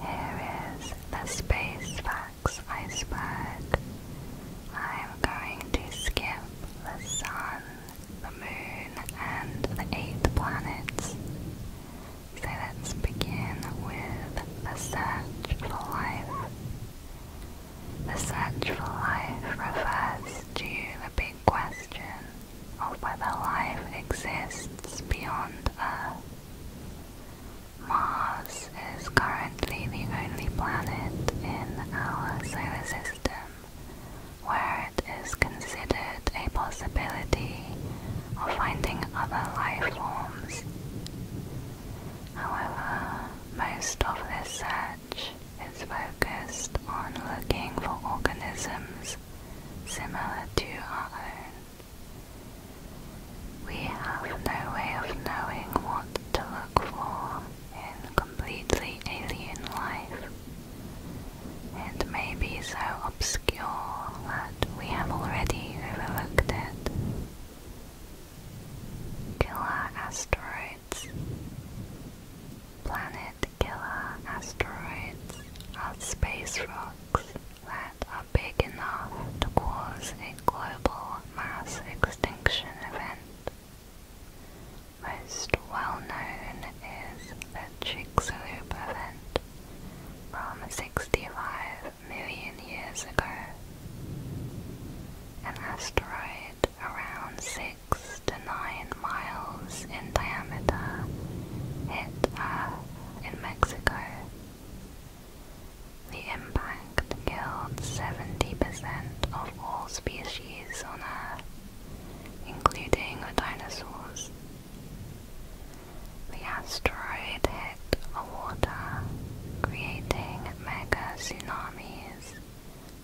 Here is the Space Fox iceberg. I'm going to skip the sun, the moon, and the eight planets. So let's begin with the search for life. The search for life refers to the big question of whether life exists beyond Earth. Mars is currently the only planet in our solar system where it is considered a possibility of finding other life forms. However, most of the search is focused on looking for organisms similar to our own. We have no way of knowing what to look for in completely alien life. and may be so obscure that we have already overlooked it. Killer asteroids. Planet killer asteroids are space rocks that are big enough to cause a global mass extinction event. Most well known is the Chicxulub event from 65 million years ago. An asteroid around 6 to 9 miles in diameter hit Earth in Mexico the impact killed 70% of all species on Earth, including the dinosaurs. The asteroid hit the water, creating mega tsunamis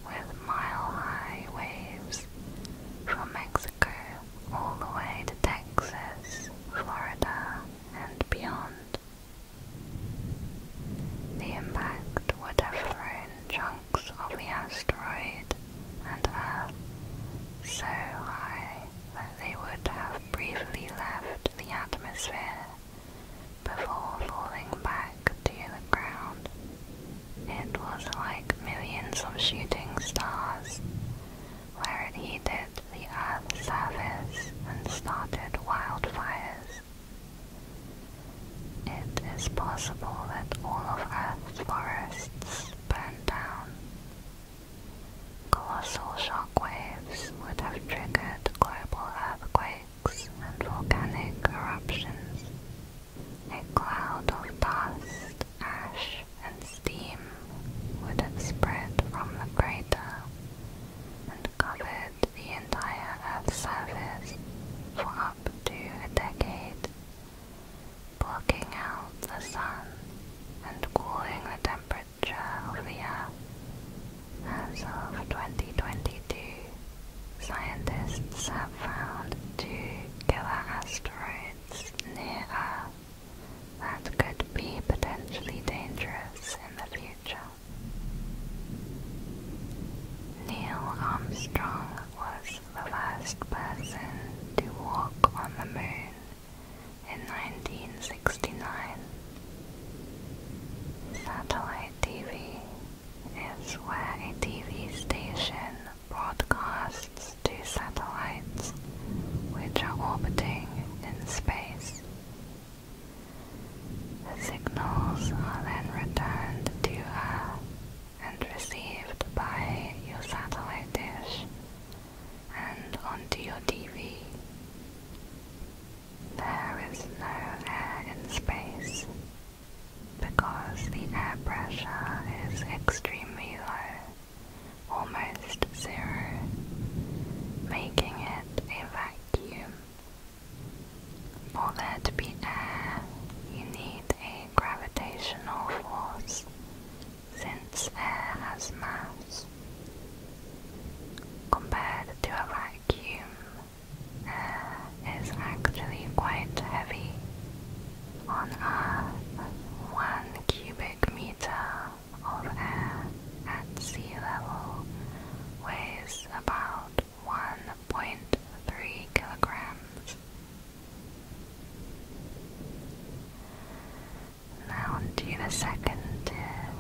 with mile-high waves from Mexico all the way to Texas, Florida, and beyond. The impact would have thrown chunks of the asteroid and Earth so high that they would have briefly left the atmosphere before falling back to the ground. It was like millions of shooting stars where it heated the Earth's surface and started wildfires. It is possible that all of Earth's forests burned down. Colossal shock waves would have triggered global earthquakes and volcanic eruptions. A cloud of dust, ash, and steam would have spread from the crater and covered the entire Earth's surface for up to a decade, blocking out the sun and cooling the temperature of the Earth. As of 2022, scientists have found two killer asteroids near Earth that could be potentially dangerous in the future. Neil Armstrong was the first person to walk on the moon in 1969. Satellite TV is where a TV station broadcasts to satellites which are orbiting in space. The signals are then returned to Earth and received by your satellite dish and onto your TV. There is no air in space because the air pressure is extremely low almost zero, making it a vacuum. For there to be air, you need a gravitational force, since air has mass. Compared to a vacuum, air is actually quite heavy. On Earth, one cubic meter of air at sea level weighs about 1.3 kilograms. Now to the second uh,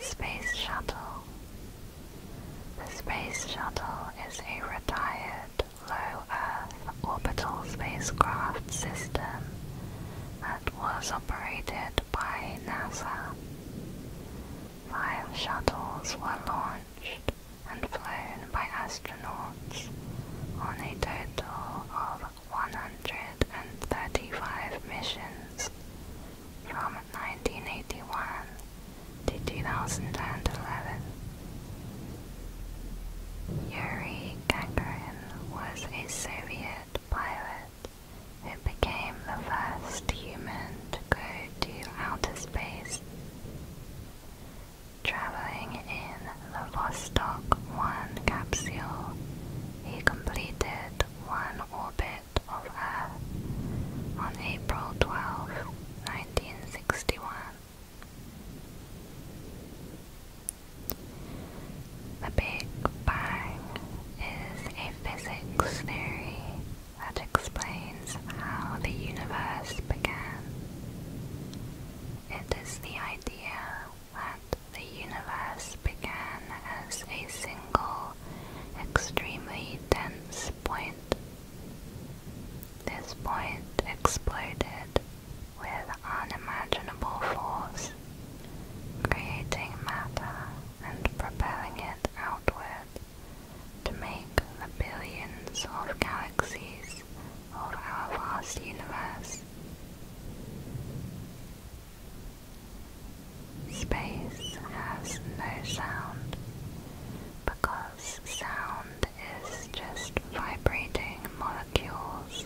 Space Shuttle. The Space Shuttle is a retired low Earth orbital spacecraft system that was operated by NASA. Five shuttles were launched and flown by astronauts on a total of 135 missions from 1981 to 2011. Yuri Gagarin was a Soviet pilot who became the first human to go to outer space. Traveling in the Vostok 1 capsule, he completed one orbit of Earth on April 12, 1961. The Big Bang is a physics theory that explains how the universe began. It is the idea that the universe began as a single, extremely dense point. This point exploded with unimaginable force, creating matter and propelling it outward to make the billions of galaxies of our vast universe. Space has no sound because sound is just vibrating molecules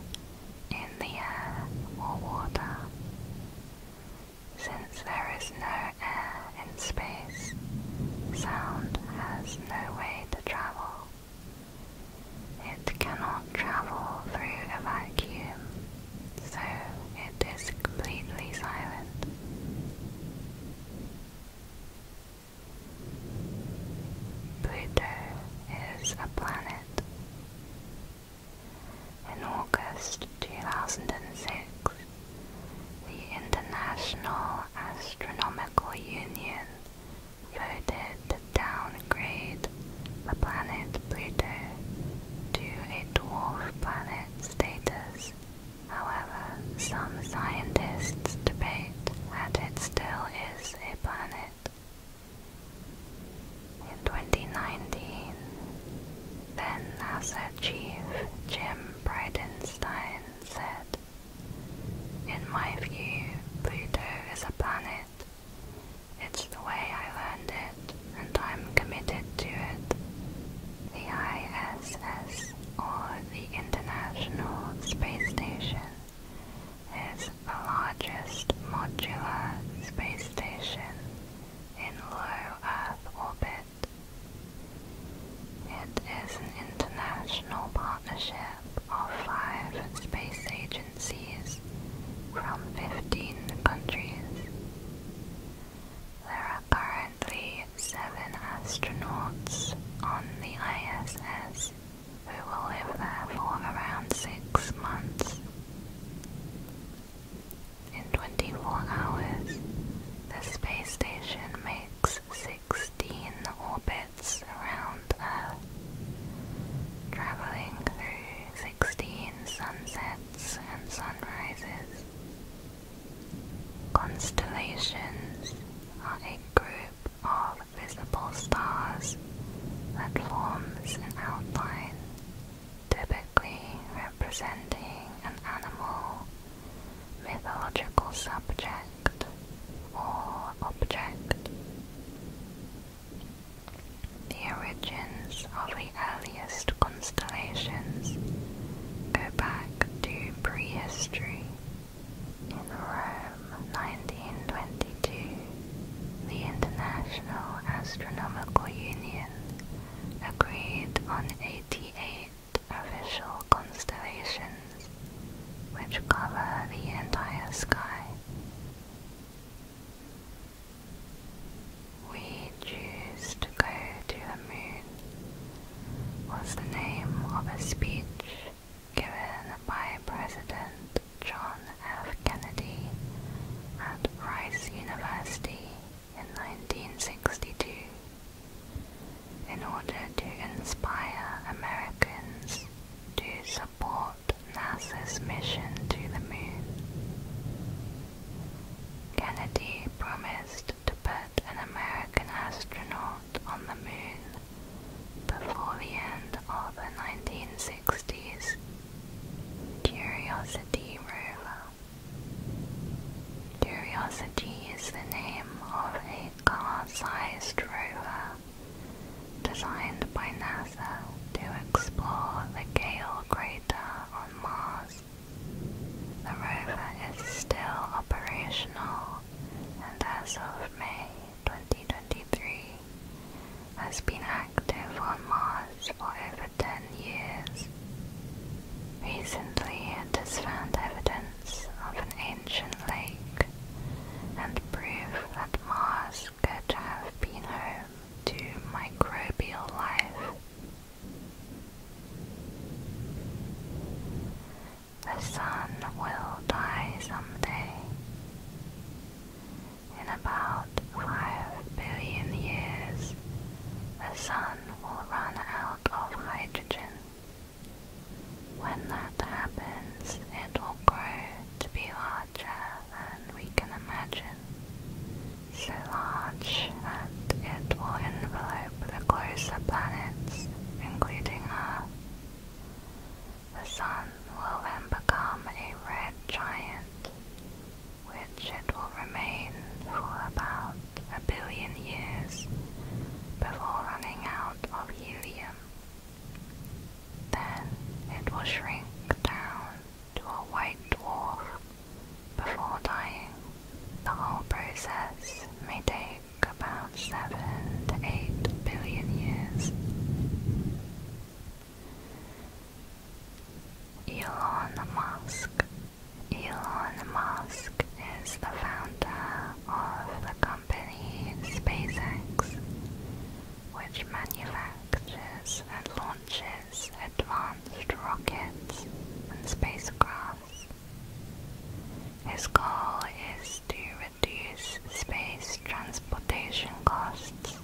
in the air or water. Since there is no air in space, sound has no way to travel. It cannot travel through a vacuum, so it is completely silent. Pluto is a planet in August 2006, the International Astronomical Union voted to downgrade the planet Pluto to a dwarf planet status. However, some scientists debate that it still is a planet. In 2019, then NASA chief Jim Bridenstine said, In my view, Pluto is a planet. It's the way I learned it, and I'm committed to it. The ISS, or the International Space Station, is the largest modular space station in low Earth orbit. It is an international partnership of five space agencies from 15 countries. There are currently seven astronauts on the ISS we will live there for around six months. In 24 hours, the space station makes 16 orbits around Earth, traveling through 16 sunsets and sunrises. Constellations are a group of visible stars that forms an outline, typically representing an animal, mythological subject, or object. The origins of the earliest constellations go back to prehistory in Rome 1922, the International Astronomical Union agreed on 88 official constellations which cover the entire sky. We choose to go to the moon was the name of a speech given by President John F. Kennedy at Rice University in 1962 in order to inspire Americans to support NASA's mission to the moon. Kennedy promised to put an American astronaut on the moon before the end of the 1960s Curiosity rover. Curiosity is the name of a car-sized rover designed by NASA to explore the Gale crater on Mars. The rover is still operational and as of May 2023, has been active on Mars for over 10 years. Recently, it has found evidence of an ancient lake and proof that Mars could have been home to microbial life. The sun will die someday. In about five billion years, the sun will run out of hydrogen. When that happens, it will grow to be larger than we can imagine, so large that it will envelop the closer planets, including Earth. The sun will then become a red giant, which it will remain for about a billion years before running out of helium. Then it will shrink down to a white dwarf before dying. The whole process may take about 7 to 8 billion years. Elon Musk. Elon Musk is the founder of the company SpaceX, which manufactures and launches advanced rockets and spacecraft. His goal is to reduce space transportation costs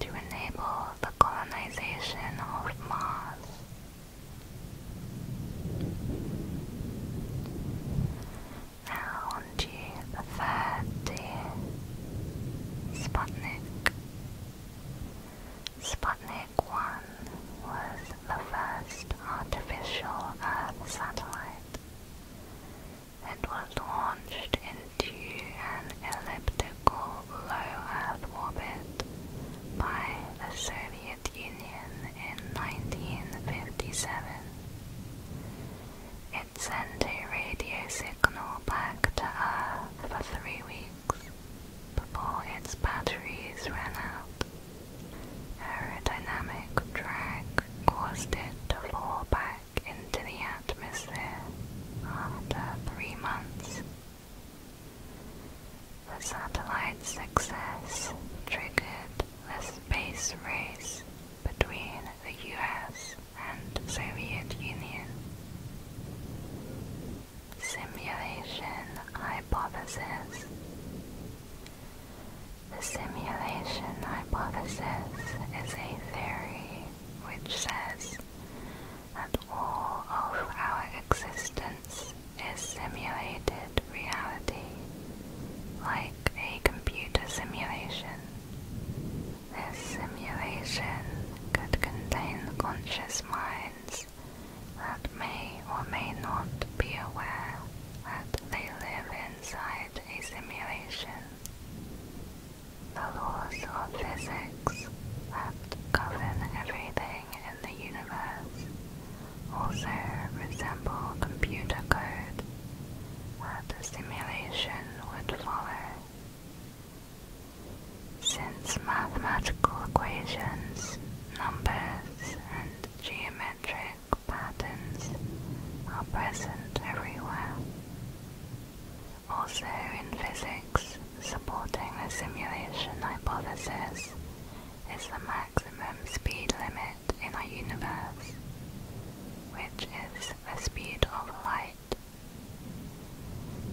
to enable the colonization of Mars. Now on to the third tier, Sputnik. Sputnik 1 was the first artificial Earth satellite. It was launched into an elliptical low-Earth orbit by the Soviet Union in 1957. It sent a radio signal back to Earth for three weeks before its batteries ran out. Aerodynamic drag caused it to fall back into the atmosphere after three months. The satellite's success triggered the space race between the US and Soviet Union. Simulation Hypothesis The simulation hypothesis is a theory which says that all of our existence is simulated reality, like a computer simulation. This simulation could contain conscious minds that may or may not be aware that they live inside a simulation. The laws of physics that govern everything in the universe also resemble computer code that simulation would follow. Since mathematical equations, numbers, and geometric patterns are present everywhere, also in physics, supporting the simulation hypothesis is the maximum speed limit in our universe, which is the speed of light.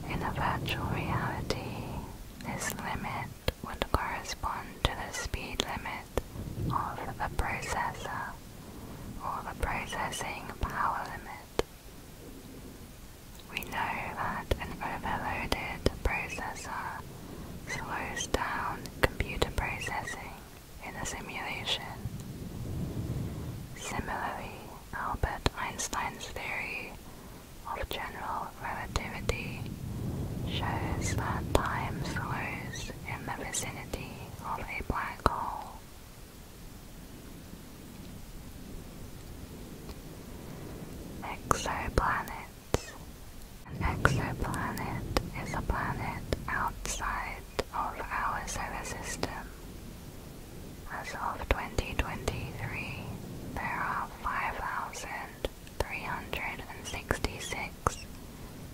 In a virtual reality, this limit would correspond to the speed limit of the processor or the processing power limit. We know that an overloaded processor slows down computer processing in a simulation. Similarly, Albert Einstein's theory of general relativity shows that time slows in the vicinity of a black hole. Exoplanets. An exoplanet is a planet outside of our solar system. As of 2023, there are 5,366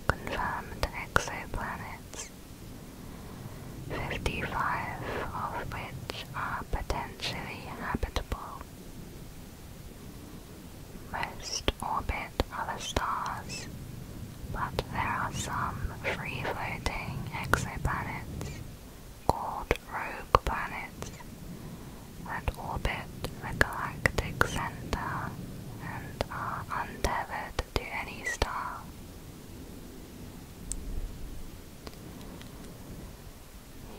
confirmed exoplanets, 55 of which are potentially habitable. Most orbit other stars, but there are some free-floating exoplanets called rogue planets that orbit the galactic center and are untethered to any star.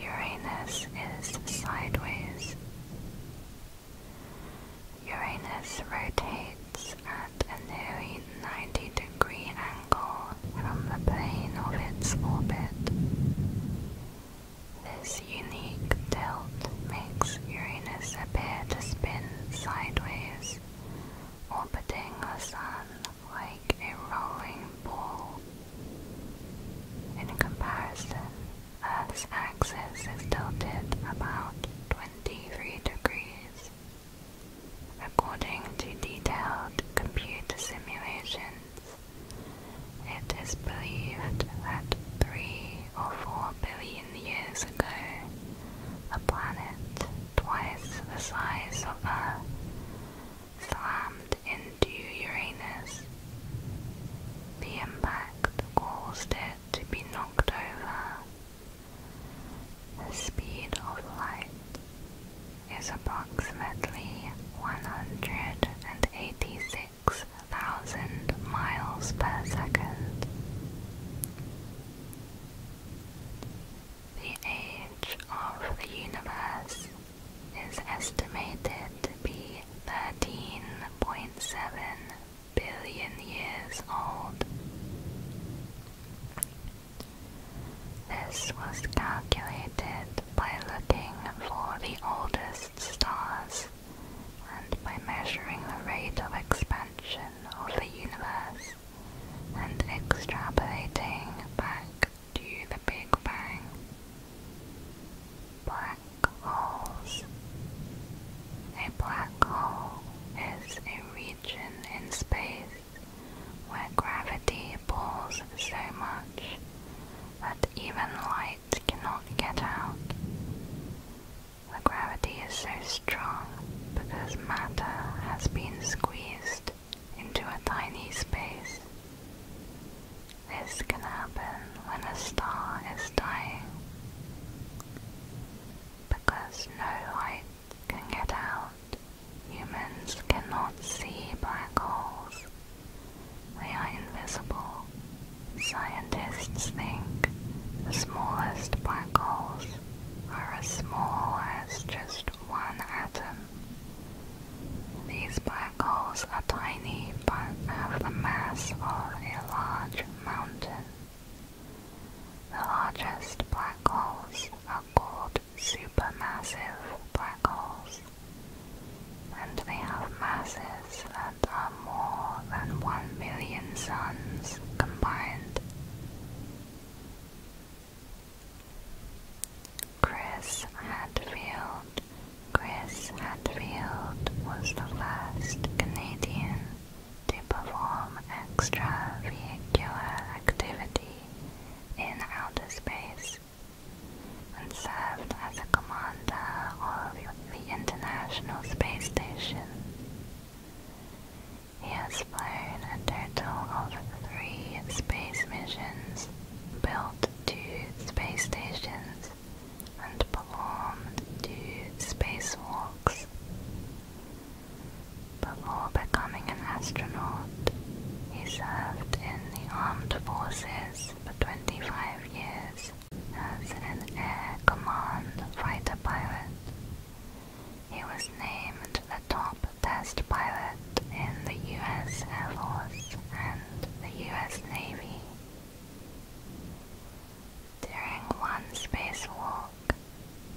Uranus is sideways. Uranus rotates at a nearly 90 degree angle from the plane of its orbit. This unique tilt makes Uranus appear to spin sideways, orbiting the Sun like a rolling ball. In comparison, Earth's axis is tilted about 23 degrees. According to detailed computer simulations, it is believed that three or four billion years ago, a planet twice the size of Earth slammed into Uranus. The impact caused it to be knocked over. The speed of light is approximately 186,000 miles per second. The age of the universe is estimated to be 13.7 billion years old. This was calculated by looking for the oldest stars and by measuring the rate of expansion of the universe and extrapolating back to the Big Bang. Black holes. A black hole is a region in space where gravity pulls so much that even light cannot get out. The gravity is so strong because matter has been squeezed into a tiny space. This can happen when a star is dying because no light can get out. Humans cannot see black holes. They are invisible. Scientists think the smallest black holes are as small as just one atom. These black holes are tiny but have the mass of a large mountain. The largest black holes are called supermassive black holes, and they have masses that are more than one million suns combined. Chris Hadfield. Chris Hadfield was the first Canadian to perform extravehicular activity in outer space and served as a commander of the International Space Station. He has flown a total of three space missions, built two space stations, and performed two spacewalks. Before becoming an astronaut, he served in the armed forces for 25 years as an Air Command fighter pilot. He was named the top test pilot in the U.S. Air Force and the U.S. Navy. During one spacewalk,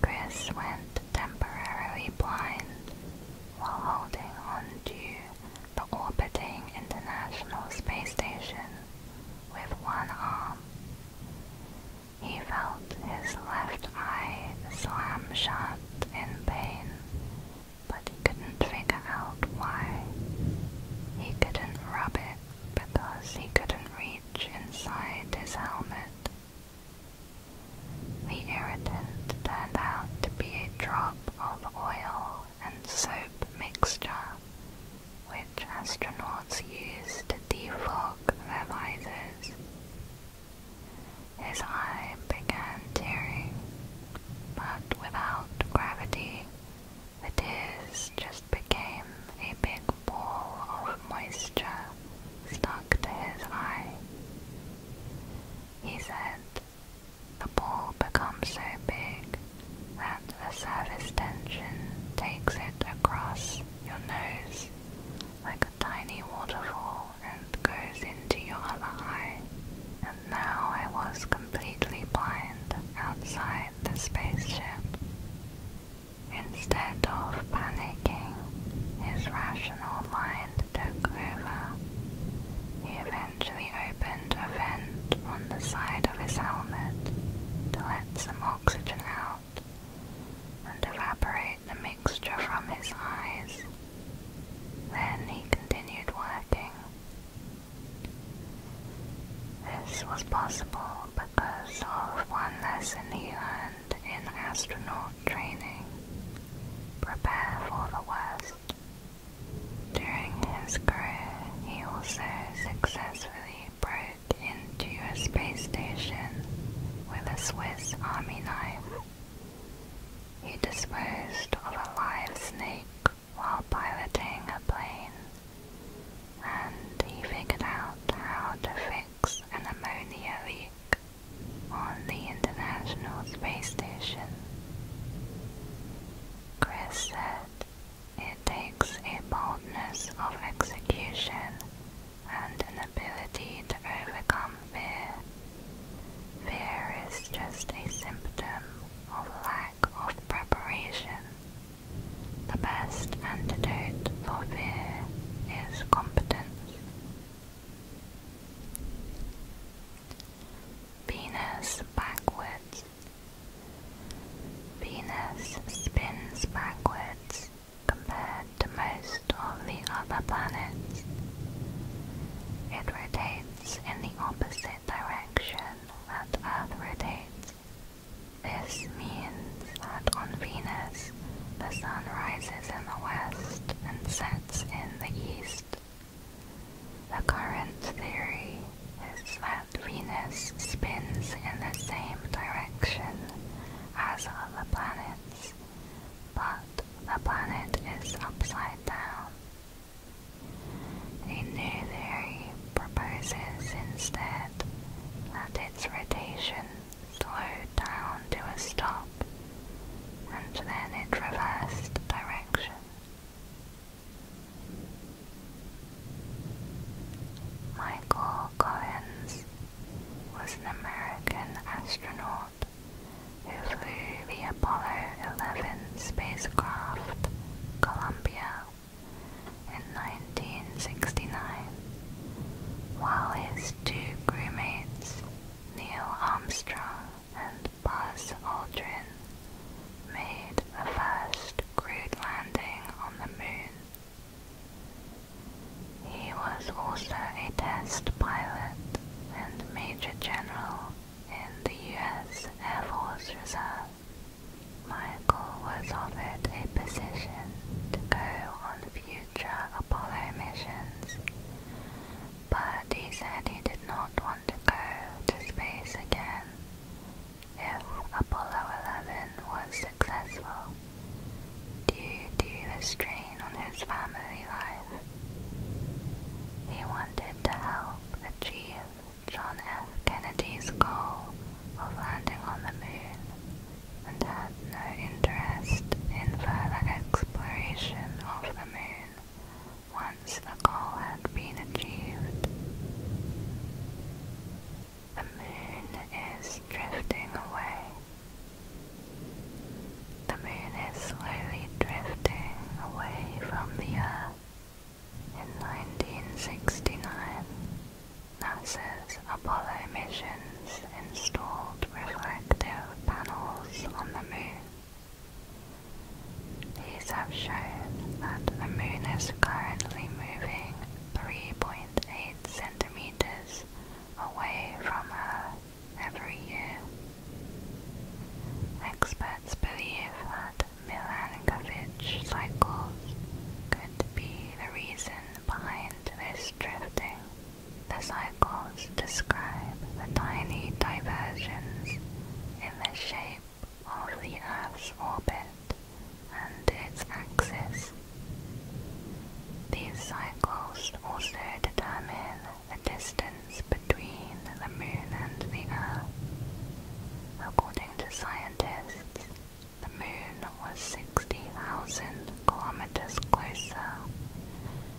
Chris went temporarily blind while holding on to the orbiting International Space Station with one arm. He felt his left eye slam shut in pain, but he couldn't figure out why. He couldn't rub it because he couldn't reach inside his helmet. The irritant turned out to be a drop of oil and soap mixture, which astronauts use to defog their visors. His eye began tearing, but without gravity, the tears just became a big ball of moisture stuck to his eye. He said, the ball becomes so big that the surface tension takes it across your nose like tiny waterfall and goes into your other eye. And now I was completely blind outside the spaceship. Instead of panicking, his rational mind took over. He eventually opened a vent on the side of his helmet to let some oxygen out and evaporate the mixture from his eyes. Then he continued working. This was possible because of one lesson he learned in astronaut training. Prepare for the worst. During his career, he also successfully broke into a space station with a Swiss army knife. He disposed of a live snake while piloting a plane, and he figured out how to fix an ammonia leak on the International Space Station. Chris said, it takes a boldness of execution and an ability to overcome fear. Fear is just a symptom of lack of preparation. The best antidote for fear is competence. Venus backwards. Venus spins backwards compared to most of the other planets. It rotates in the opposite direction that Earth rotates. This means that on Venus, the sun rises in the west and sets in the east. The current theory is that Venus spins in the same direction as other planets, but the planet is upside down. A new theory proposes instead that its rotation slowed down to a stop and then it reversed direction. Michael Collins was an American astronaut who flew the Apollo 11 spacecraft Columbia in 1969, while his two crewmates, Neil Armstrong and Buzz Aldrin, made the first crewed landing on the moon. He was also a test pilot and Major General in the U.S. Air Force Reserve. Michael was offered a position to go on future Apollo missions, but he said he did not want to go to space again if Apollo 11 was successful due to the strain on his family life. He wanted to help achieve John F. Kennedy's goal of landing on the moon and had no interest in further exploration of the moon once the goal had been achieved. The moon is drifting away the moon is slowly drifting away from the Earth. In 1969, NASA's Apollo missions installed reflective panels on the moon. These have shown that the moon is currently moving 3.8 centimeters away from Earth every year. Experts believe that Milankovitch cycles could be the reason behind this drifting. The cycles describe the tiny diversions in the shape of the Earth's orbit and its axis. These cycles also determine the distance between the moon and the earth. According to scientists, the moon was 60,000 kilometers closer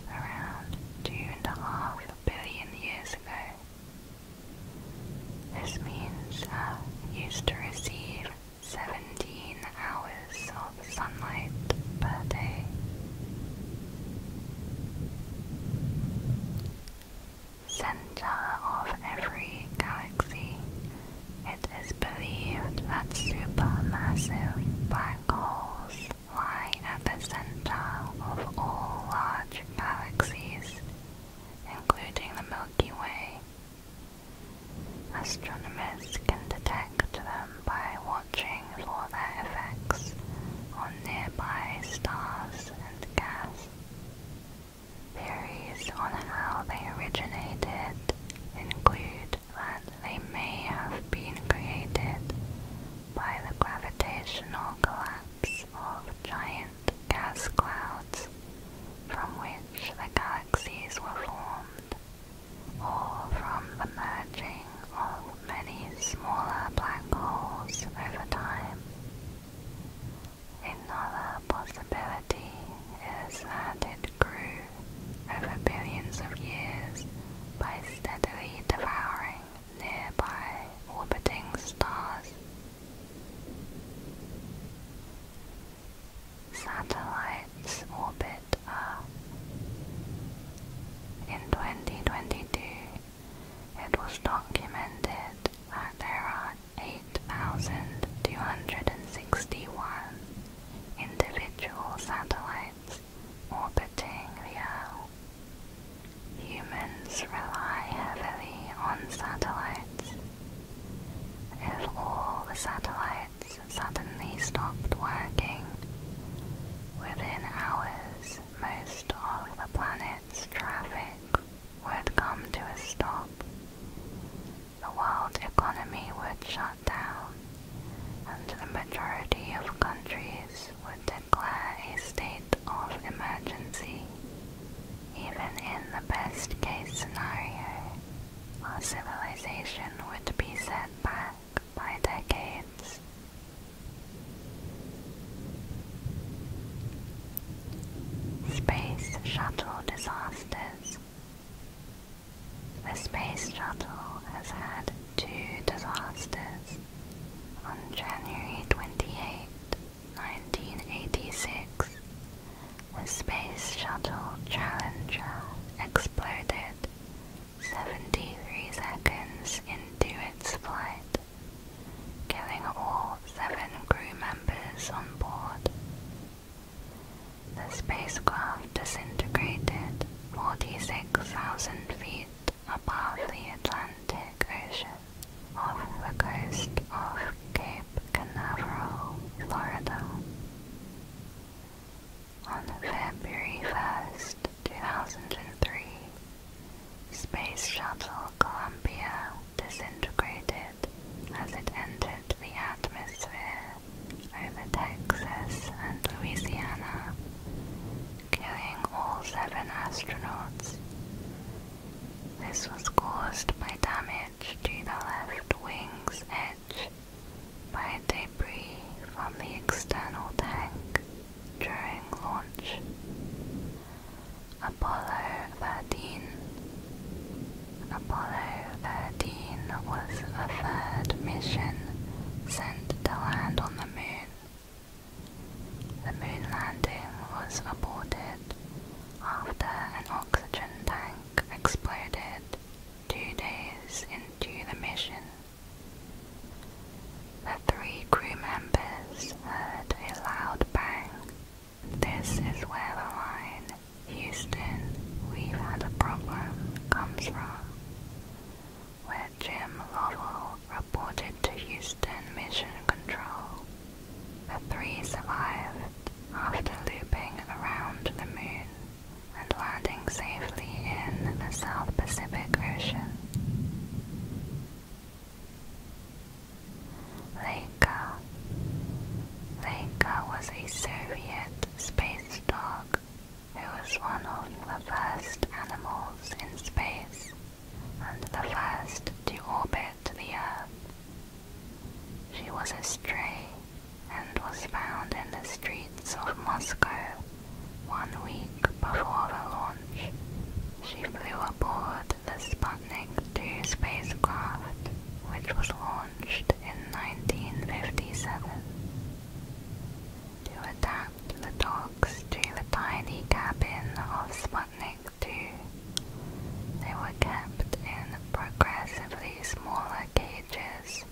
around 2.5 billion years ago. This means Earth uh, used to receive 17 hours of sunlight per day. Center of every galaxy, it is believed that supermassive black holes lie at the center of all large galaxies, including the Milky Way. Astronomers can detect them um, by watching for their effects on nearby stars and gas. Theories on how they originated include that they may have been created by the gravitational collapse of giant gas clouds from which the galaxies were formed, or from the merging of many smaller black holes over time. Another possibility is that it grew over billions of years by steadily devouring nearby orbiting stars. Satellites orbit Earth. In 2022, it was documented that there are 8,261 individual satellites orbiting the Earth. Humans rely heavily on satellites. If all the satellites suddenly stopped working, within hours most of the planet's traffic would come to a stop. The world economy would shut down, and the majority of countries would declare a state of emergency. Even in the best case scenario, our civilization would be set back by decades. Space Shuttle Disasters The Space Shuttle has had two disasters. On January 28, 1986, the Space Shuttle Challenger exploded 73 seconds into its flight, killing all seven crew members on board. The spacecraft disintegrated 46,000 feet above the Atlantic Ocean off the coast of Cape Canaveral, Florida. On February 1st, 2003, Space Shuttle Columbia disintegrated as it entered the atmosphere over Texas and Louisiana, killing all seven astronauts. This was caused by damage to the left wing's edge by debris from the external tank during launch. Apollo 13 Apollo 13 was a third mission sent to land on the moon. The moon landing was aborted after an oxygen tank exploded two days into the mission. The three crew members heard a loud bang. This is where the line, Houston, we've had a problem, comes from, where Jim Lovell reported to Houston Mission Control. The three survived after looping around the moon and landing safely in the South Pacific Ocean. Leica. Leica was a Soviet space dog who was one of the first animals in space and the first to orbit the Earth. She was a stray and was found in the streets of Moscow one week before the launch, she flew aboard the Sputnik 2 spacecraft, which was launched in 1957. To adapt the dogs to the tiny cabin of Sputnik 2, they were kept in progressively smaller cages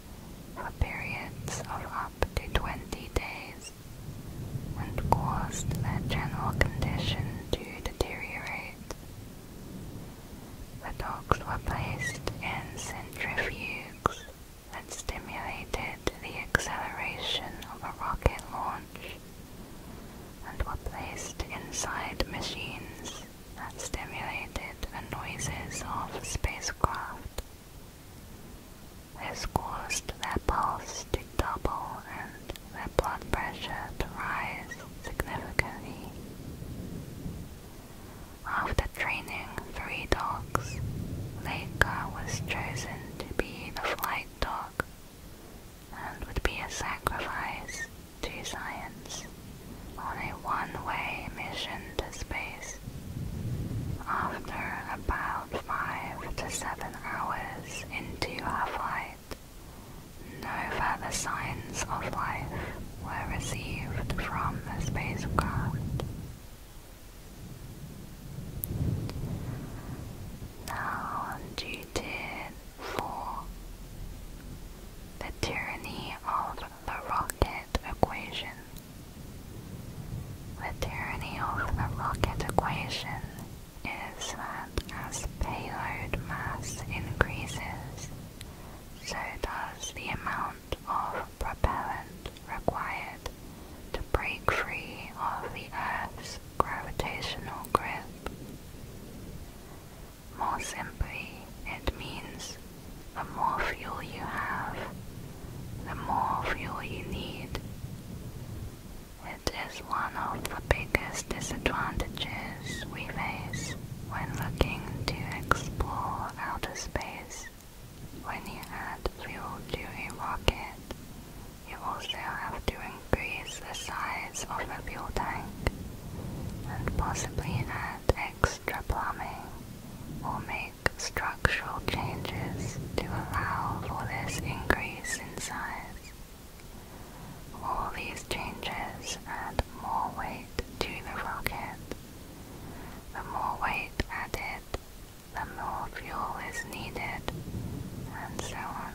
for periods of up to 20 days and caused their general condition to deteriorate. The dogs were placed in centrifuges that stimulated the acceleration of a rocket launch and were placed inside machines that stimulated the noises of spacecraft. This caused their pulse to double and their blood pressure to rise significantly. After training three dogs, Leica was chosen to be the flight dog and would be a sacrifice to science on a one-way mission to space. After about five to seven hours into our flight, no further signs of life were received from the spacecraft. Now, due to 4. The tyranny of the rocket equation. The tyranny of the rocket equation is that as payload mass increases, so does the amount of propellant required to break free of the Earth's gravitational grip. More simply, it means the more fuel you have, the more fuel you need. It is one of the biggest disadvantages we face when looking to explore outer space. When you add fuel to a rocket, you also have to increase the size of the fuel tank and possibly add extra plumbing or make structures structural changes to allow for this increase in size. All these changes add more weight to the rocket. The more weight added, the more fuel is needed, and so on.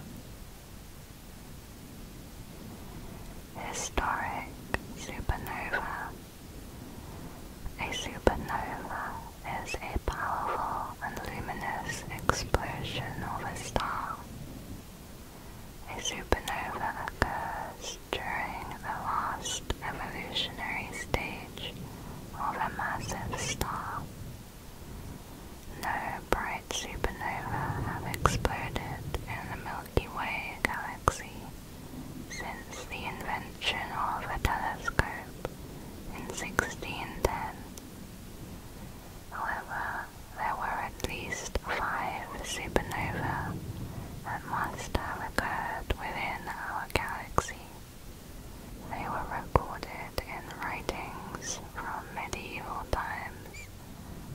Historic supernova. A supernova is a powerful and luminous explosion of a star. A supernova occurs during the last evolutionary stage of a massive star. No bright supernova have exploded in the Milky Way galaxy since the invention of a telescope in 1610. However, there were at least five supernovae that must have occurred within our galaxy. They were recorded in writings from medieval times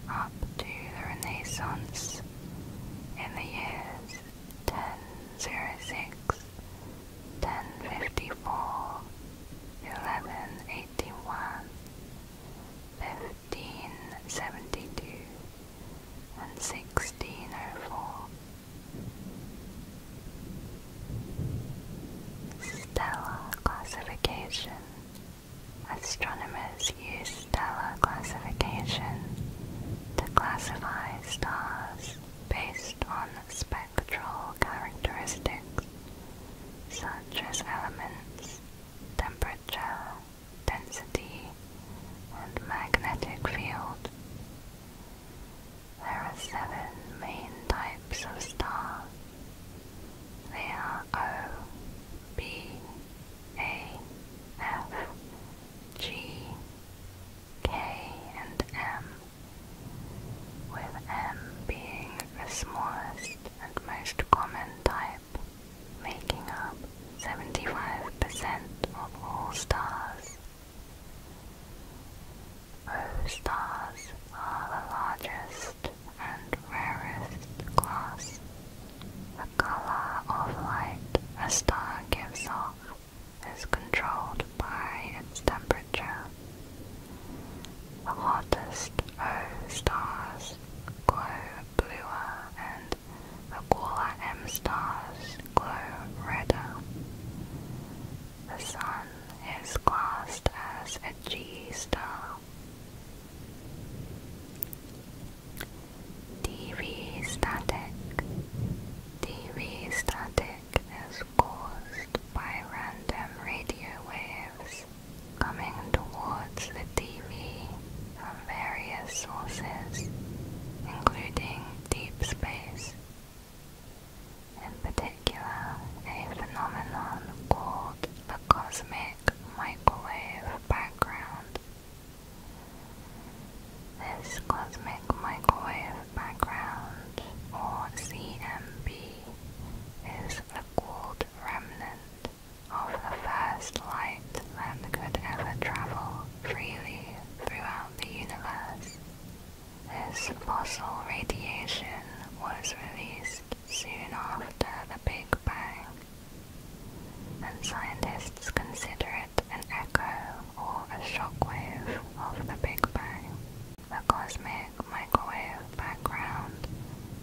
up to the Renaissance in the years 1006 1054, 1181, 1572, and 1604. Stellar classification. Astronomers use stellar classification to classify stars based on spectral characteristics such as elements, temperature, density, and magnetic field. There are seven main types of stars. They are O, B, A, F, G, K and M, with M being the smallest and most common type, making up 75% of all stars. O stars are the largest and rarest class. The color of light a star gives off is controlled by its temperature. The hottest O stars glow bluer and the cooler M stars glow redder. The Sun is classed as a G star. dV static. dV static is caused by random radio waves coming towards the TV from various sources, including deep space. In particular, a phenomenon called the cosmic microwave background. This cosmic microwave background, or CMB, is a cooled remnant of the first light that could ever travel freely throughout the universe. This fossil radiation was released soon after the Big Bang, and scientists consider it an echo or a shockwave of the Big Bang. The cosmic microwave background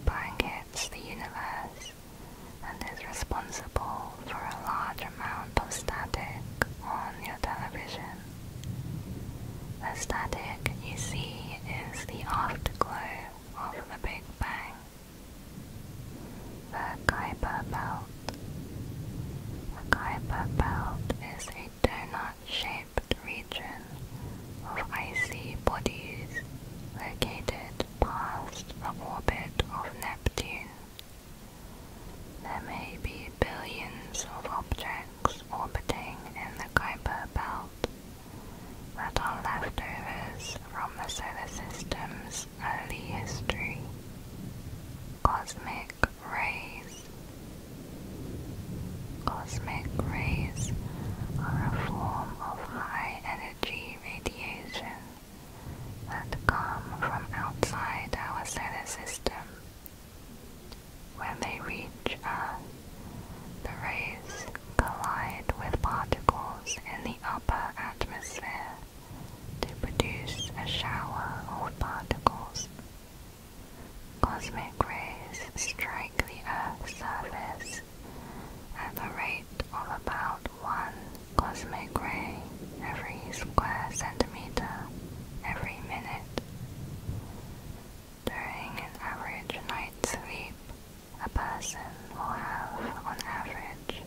blankets the universe and is responsible for a large amount of static on your television. The static you see is the afterglow of the Big Bang. The Kuiper Belt. The Kuiper Belt is a donut-shaped region of icy bodies located past the orbit of Neptune. There may be billions of objects orbiting in the Kuiper Belt that are leftovers from the solar system's early history. Cosmic rays. Cosmic rays are a form of high energy radiation that come from outside our solar system. When they reach Earth, the rays collide with particles in the upper atmosphere to produce a shower of particles. Cosmic rays strike the Earth's surface at the rate of about one cosmic ray every square centimeter every minute. During an average night's sleep, a person will have, on average,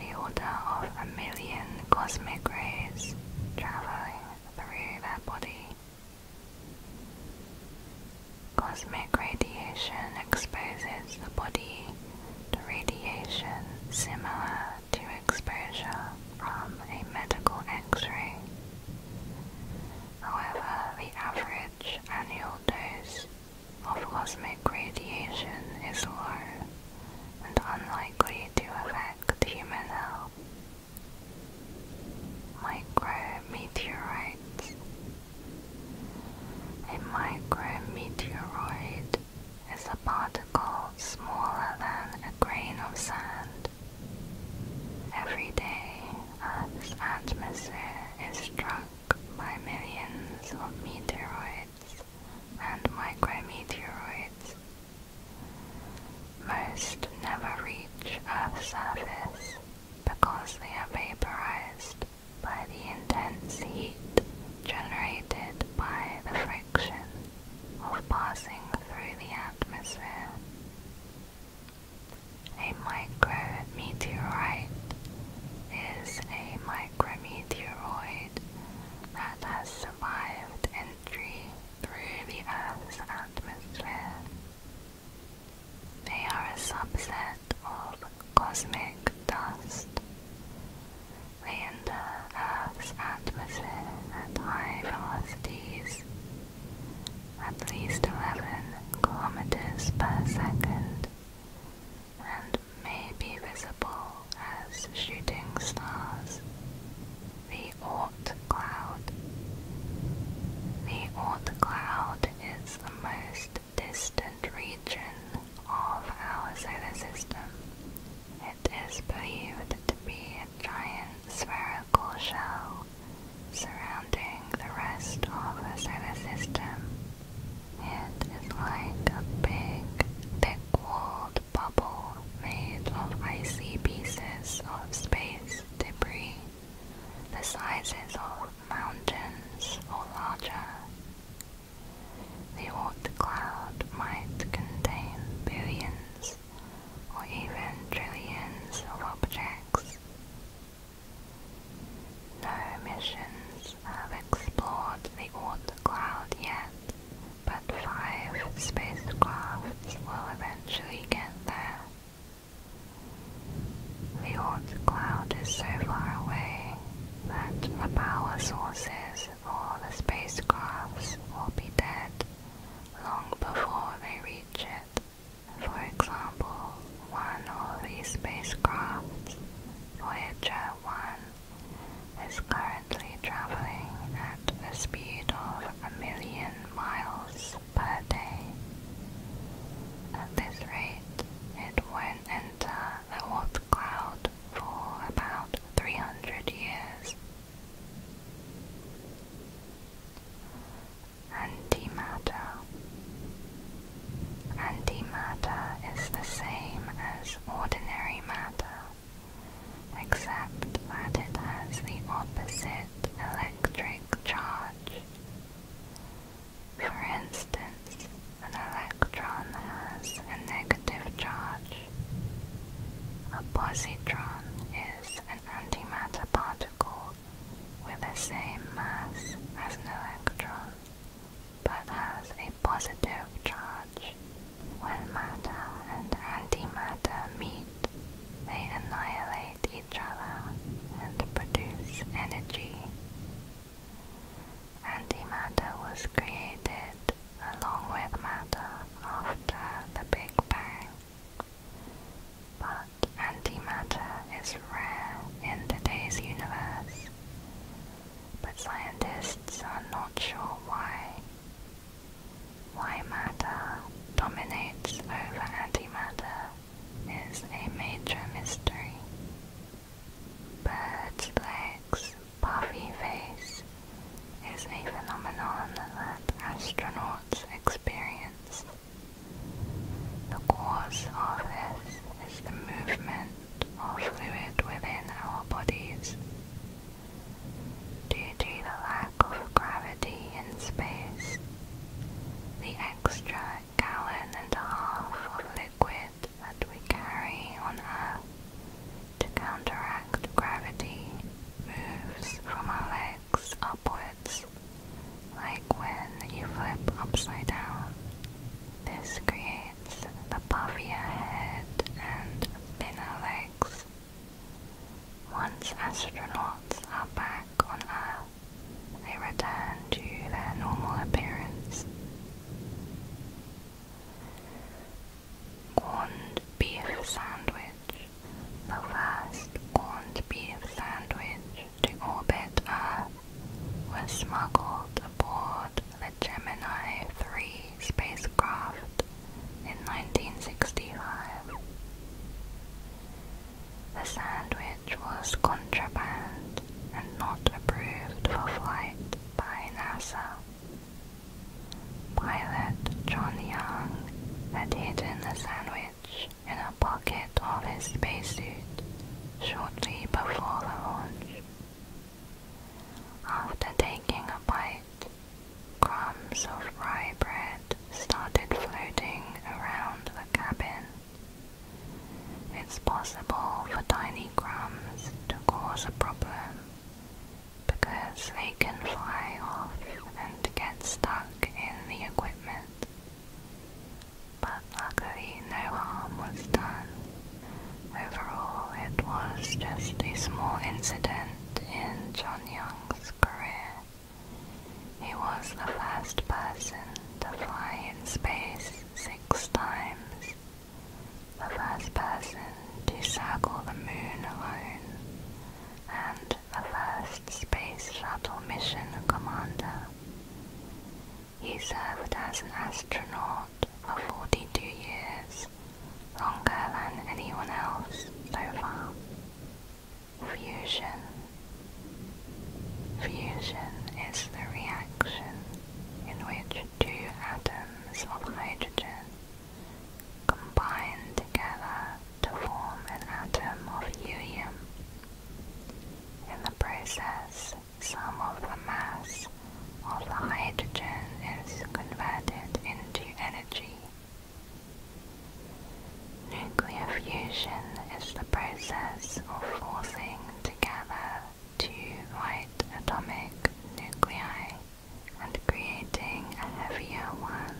the order of a million cosmic rays traveling through their body Cosmic radiation exposes the body to radiation similar to exposure from a medical X-ray. However, the average annual dose of cosmic radiation is low and unlikely to affect human health. Micrometeorites. A micrometeoroid is a particle smaller than a grain of sand. Every day, Earth's atmosphere is struck by millions of meteoroids and micrometeoroids most never reach Earth's surface because they are vaporized by the intense heat generated by the friction of passing through the atmosphere. A micrometeorite is a micrometeoroid that has survived entry through the Earth's atmosphere. They are a subset of cosmic dust. They enter Earth's atmosphere at high velocities, at least 11 kilometers per second, and may be visible as shooting stars. Oort cloud. The Oort cloud is the most distant region of our solar system. It is believed to be a giant spherical shell surrounding the rest of the solar system. It is like a big, thick-walled bubble made of icy pieces of space debris, the sizes of mountains or larger. The Oort cloud might contain billions or even trillions of objects. No missions have explored the Oort cloud yet, but five spacecrafts will eventually get there. The Oort cloud is so far away that the power sources for the spacecrafts will be dead long before they reach it. For example, one of the spacecrafts, Voyager 1, is currently traveling at a speed of a million miles per day. At this rate, it won't enter the Oort cloud for about 300 years. Antimatter. Antimatter is the same as ordinary matter, except that it has the opposite its electric charge. For instance, an electron has a negative charge. A positron is an antimatter particle with the same mass as an electron, but has a positive charge. When matter and antimatter meet, they annihilate each other and produce energy. Antimatter was created along with matter after the Big Bang. But antimatter is rare in today's universe, but scientists are not sure why. Why matter dominates over antimatter is a major mystery. Bird's legs, puffy face is a phenomenon that astronauts experience. The cause of this is the movement of fluid within our bodies. Due to the lack of gravity in space. The extra gallon and a half of liquid that we carry on Earth to counteract gravity moves from our legs upwards, like when you flip upside down. This creates the puffy head and thinner legs once astronauts are back on Earth, they return to their normal appearance. Corned beef sandwich. The first corned beef sandwich to orbit Earth was smuggled aboard the Gemini 3 spacecraft in 1965. The sandwich was contraband and not approved for flight by NASA. Pilot John Young had hidden the sandwich in a pocket of his spacesuit shortly before launch. After taking a bite, Crumbs of rye bread started floating around the cabin. It's possible for tiny crumbs to cause a problem because they can fly off and get stuck in the equipment. But luckily, no harm was done. Overall, it was just a small incident in John Young's career. He was the first person to fly in space six times, the first person to circle the moon alone, and the first space shuttle mission commander. He served as an astronaut for 42 years, longer than anyone else so far fusion. Fusion is the reaction in which two atoms of hydrogen combine together to form an atom of helium. In the process, some of the mass of the hydrogen is converted into energy Nuclear fusion is the process of forcing together two light atomic nuclei and creating a heavier one.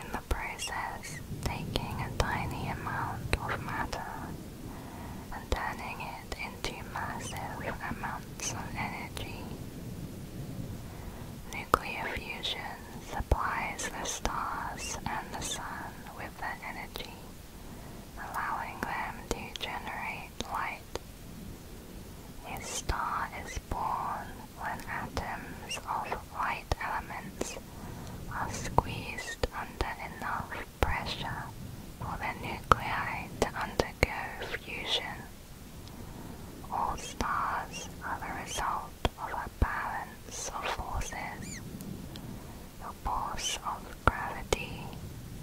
In the process, taking a tiny amount of matter and turning it into massive amounts of energy. Nuclear fusion supplies the stars and the sun with their energy, allowing them to generate light. A star is born when atoms of light elements are squeezed under enough pressure for the nuclei to undergo fusion. All stars are the result of a balance of forces. The force of gravity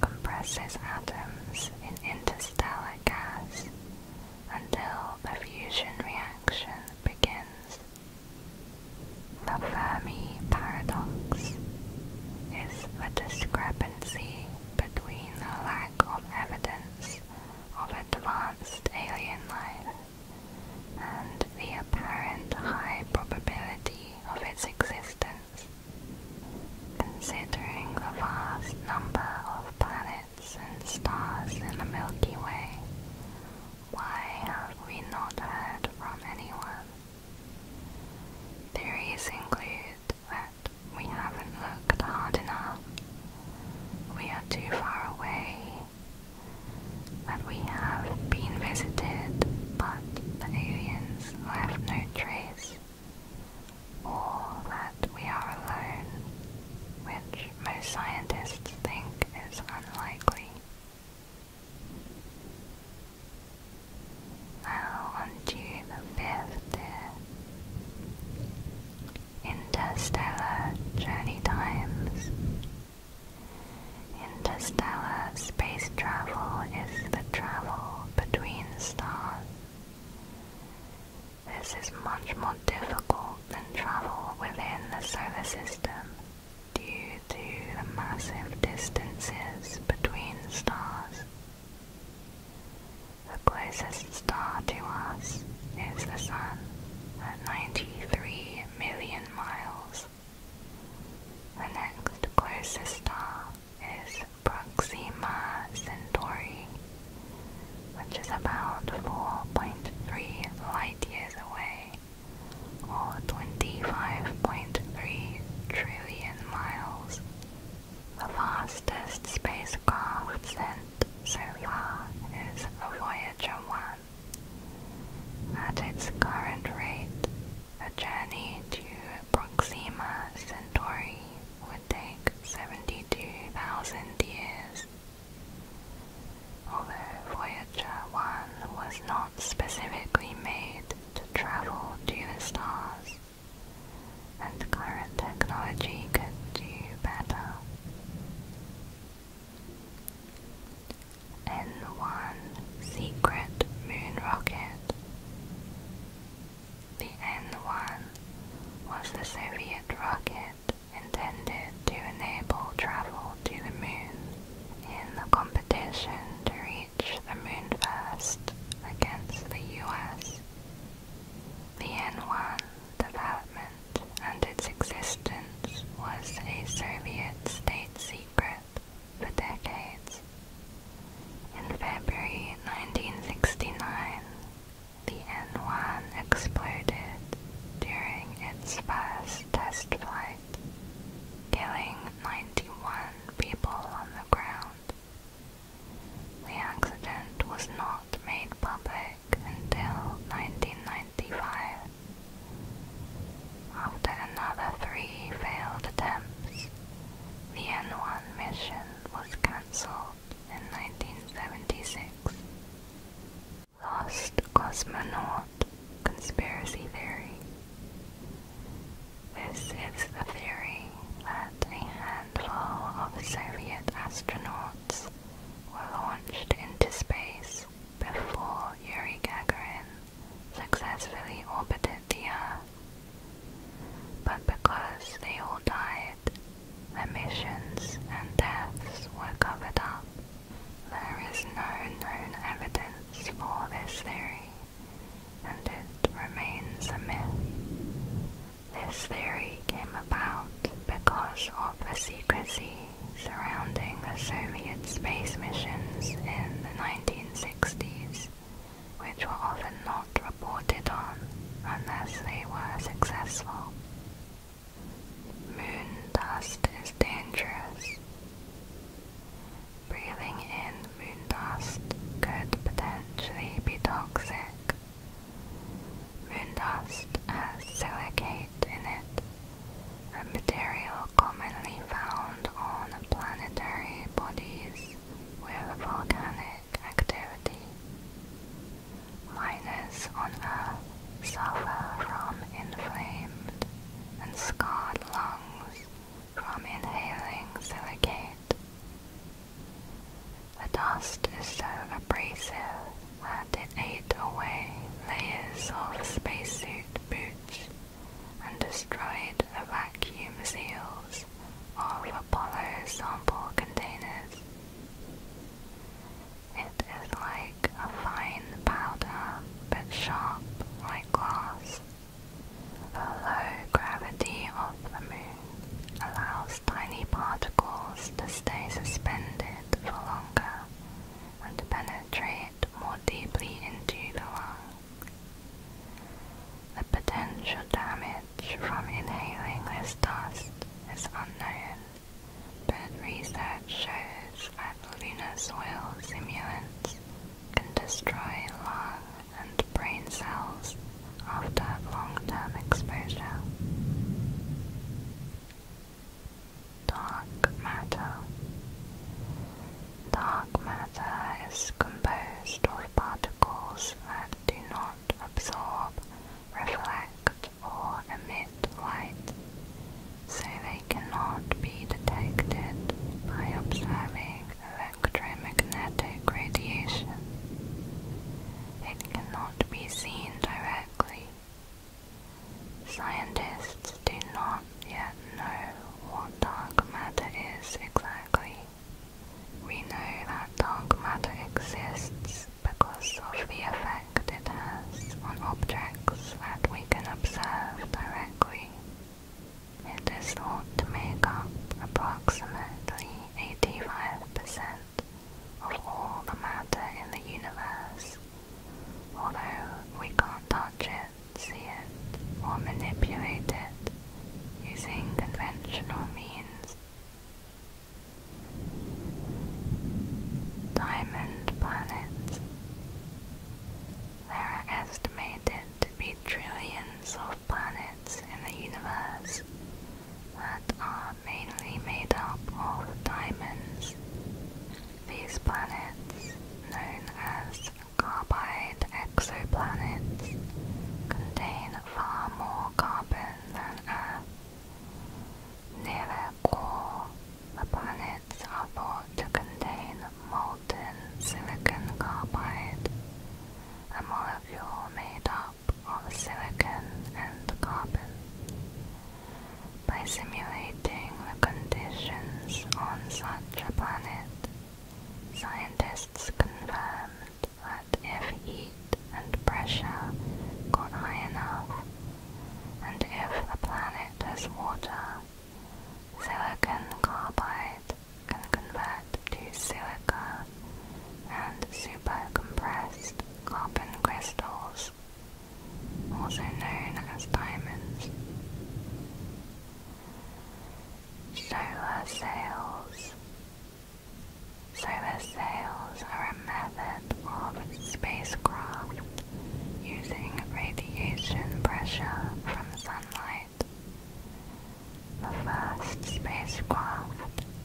compresses atoms in interstellar gas until the fusion reaction begins. The Fermi paradox is the discrepancy between the lack of evidence of advanced alien life and the apparent high probability of its existence, considering the vast number of planets and stars in the Milky Way. Why have we not heard from anyone? Theories include that we haven't looked hard enough, we are too far away, that we have been visited, but the aliens left no trace, or that we are alone, which most scientists think is unlikely. Now on to the fifth Interstellar Journey Times Interstellar space travel is the travel between stars. This is much more difficult than travel within the solar system due to the massive distances between stars. The closest star to us is the Sun, at 93 million miles. The next closest star is Proxima Centauri, which is about 4.3 light years away, or 25.3 trillion miles. The fastest spacecraft sent so far is Voyager 1 at its current rate, a journey to Proxima Centauri would take 72,000 years. Although Voyager 1 was not specifically made to travel to the stars, and current technology could do better. N1 Secret Moon Rocket. The N1 was the Soviet rocket intended to enable travel to the moon in the competition to reach the moon first against the US. The N1 development and its existence was a Soviet state secret for decades. In February 1969, the N1 exploded during its first test flight, killing 91 people on the ground. The accident was not made public until 1995. After another three failed attempts, the N1 mission was cancelled in 1976. Lost Cosmonaut Conspiracy Theory This is the theory that a handful of Soviet astronauts were launched into space before Yuri Gagarin successfully orbited the Earth. But because they all died, their missions and deaths were covered up. There is no known evidence for this theory, and it remains a myth. This theory came about because of the secrecy surrounding the Soviet space missions in the 1960s, which were often not reported on unless they were successful. Moon dust is dangerous. Breathing in moon dust could potentially be toxic. Moon dust has silicate in it, a material commonly found on planetary bodies with volcanic activity. Miners on Earth suffer from inflamed and scarred lungs from inhaling silicate. The dust is so abrasive and it ate away layers of spacesuit boots and destroyed the vacuum seals of Apollo sample containers. It is like a fine powder, but sharp like glass. The low gravity of the moon allows tiny particles to stay suspended for longer would penetrate more deeply into the lung. The potential damage from inhaling this dust is unknown, but research shows that lunar soil simulant can destroy lung and brain cells after long-term exposure. Dark matter. Dark matter is composed of particles that do not absorb, reflect, or emit light, so they cannot be detected by observing electromagnetic radiation. It cannot be seen directly Scientists do not yet know what dark matter is exactly. We know that dark matter exists because of the effect it has on objects that we can observe directly. It is thought to make up approximately 85% of all the matter in the universe Although we can't touch it, see it, or manipulate it using conventional means. Diamond planets. There are estimated to be trillions of planets in the universe that are mainly made up of diamonds, these planets, known as carbide exoplanets, contain far more carbon than Earth. Near their core, the planets are thought to contain molten silicon carbide, a molecule made up of silicon and carbon by simulating the conditions on such a planet. Scientists confirmed that if heat and pressure go high enough, and if the planet has water, silicon carbide can convert to silica and super-compressed carbon crystals also known as diamonds. Solar sails. Solar sails are a method of spacecraft using radiation pressure from sunlight. The first spacecraft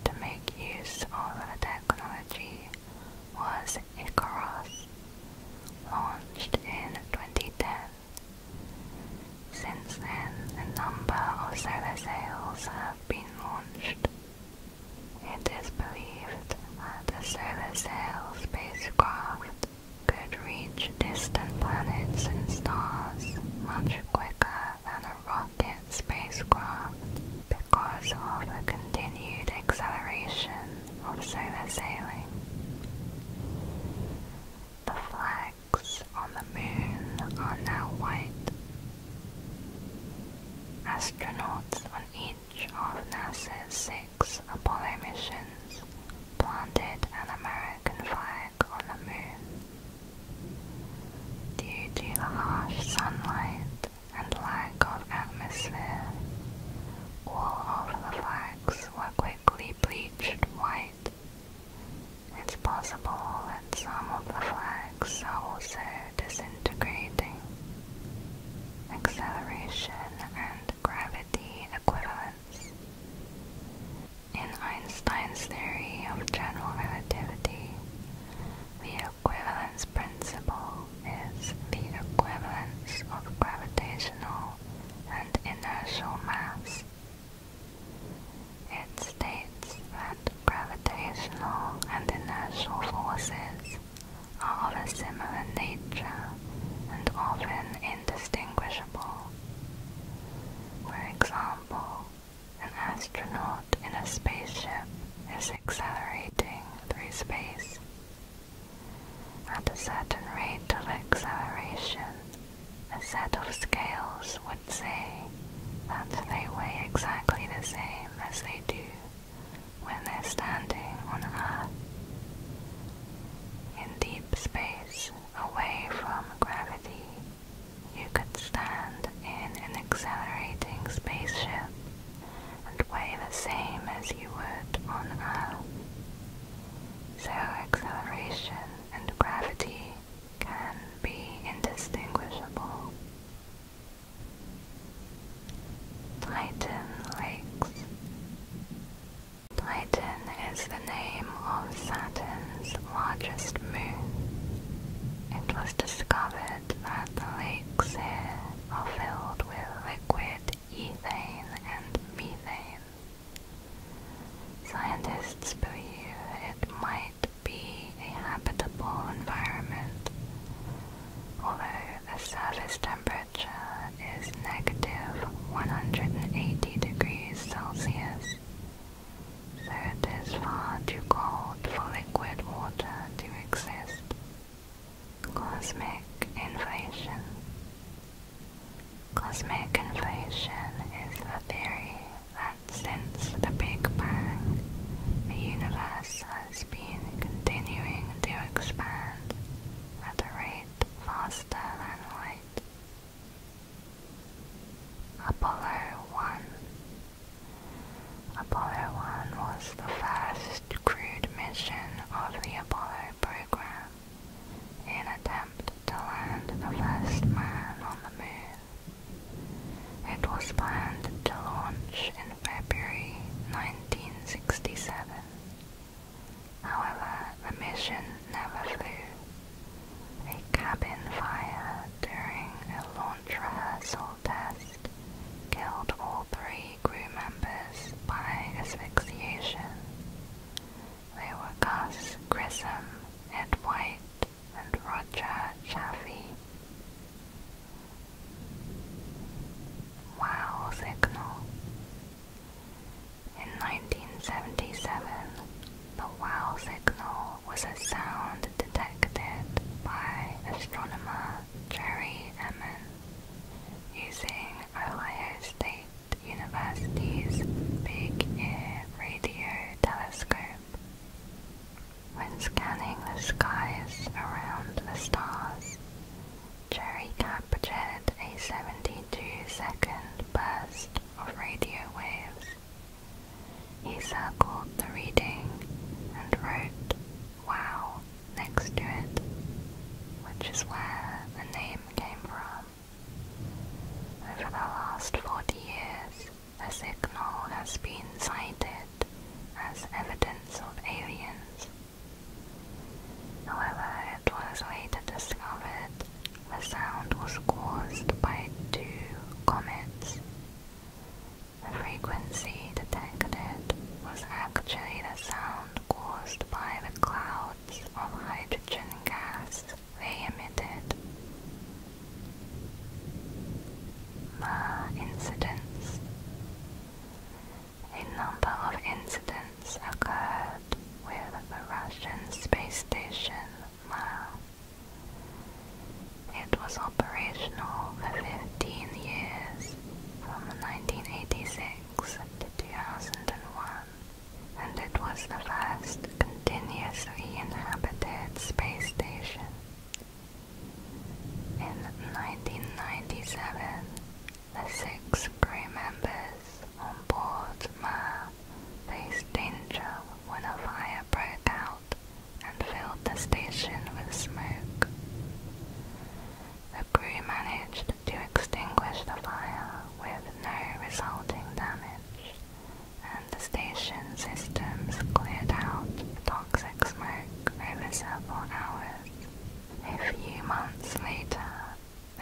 to make use of the technology was Icarus, launched in 2010. Since then, a number of solar sails have been launched. It is believed that the solar sail spacecraft could reach distant planets and stars much quicker than a rocket spacecraft because of the continued acceleration also their sailing. The flags on the moon are now white. Astronauts on each of NASA's six Apollo missions planted an American flag on the moon. Due to the harsh sunlight and lack of atmosphere. All of the flags were quickly bleached white. It's possible that some of the flags also disintegrating. Acceleration and gravity equivalence. In Einstein's theory of general relativity, the equivalence principle is the equivalence of gravitational and inertial mass. It states that gravitational and inertial forces are of a similar nature and often indistinguishable. For example, an astronaut in a spaceship is accelerating through space at a certain rate of acceleration, a set of scales would say that they weigh exactly the same as they do when they're standing on Earth. In deep space, away from gravity, you could stand in an accelerating spaceship and weigh the same as you would on Earth. So acceleration and gravity can be indistinguishable. Titan Lakes Titan is the name of Saturn's largest moon. It was discovered that lakes here are filled with liquid ethane and methane. Scientists believe it might be a habitable environment, although the surface temperature is negative 180 degrees Celsius, so it is far too cold for liquid water to exist. Cosmic inflation. Cosmic invasion is a theory that since the Big Bang, the universe has been continuing to expand at a rate faster than light. Apollo 1 Apollo 1 was the first first crewed mission of the Apollo program, in attempt to land the first man on the moon. It was planned to launch in February 1967. However, the mission never flew. A cabin fire during a launch rehearsal test killed all three only members by asphyxiation. They were Gus Grissom, Ed White, and Roger Chaffee. Wow signal. In 1977, the wow signal was a sound detected by astronomer Jerry Emmons using Ohio State University's Big Ear radio telescope. When scanning the skies around the stars, Cherry captured a 72 second burst of radio waves. He circled the reading and wrote, Wow, next to it, which is where the name came from. Over the last 40 years, a signal has been cited as evidence of aliens. However, it was later discovered the sound was caused by two comets. The frequency detected was actually the sound caused by the clouds of hydrogen gas they emitted. Mer incidents. A number of incidents occurred with the Russian space station Mir. It was operational for 15 years from 1986 1996 2001, and it was the first continuously inhabited space station. In 1997, the six crew members on board Mir faced danger when a fire broke out and filled the station with smoke. The crew managed to extinguish the fire with no resulting damage, and the station's systems cleared out toxic smoke over several hours. A few months later,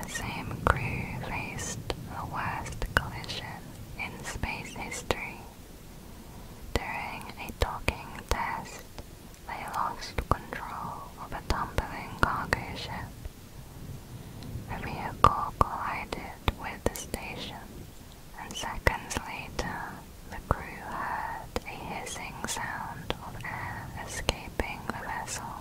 the same crew faced the worst collision in space history. During a docking test, they lost control of a tumbling cargo ship. The vehicle collided with the station, and seconds later, the crew heard a hissing sound of air escaping the vessel.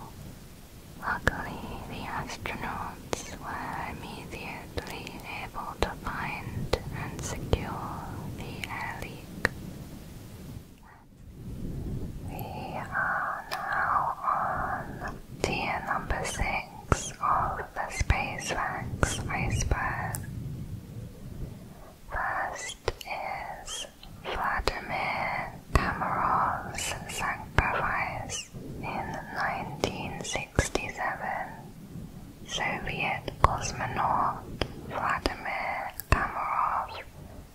Luckily, the astronauts were immediately able to find and secure the air leak. We are now on tier number 6 of the SpaceX iceberg. First is Vladimir Kamarov's sacrifice in 1967. Soviet cosmonaut Vladimir Amarov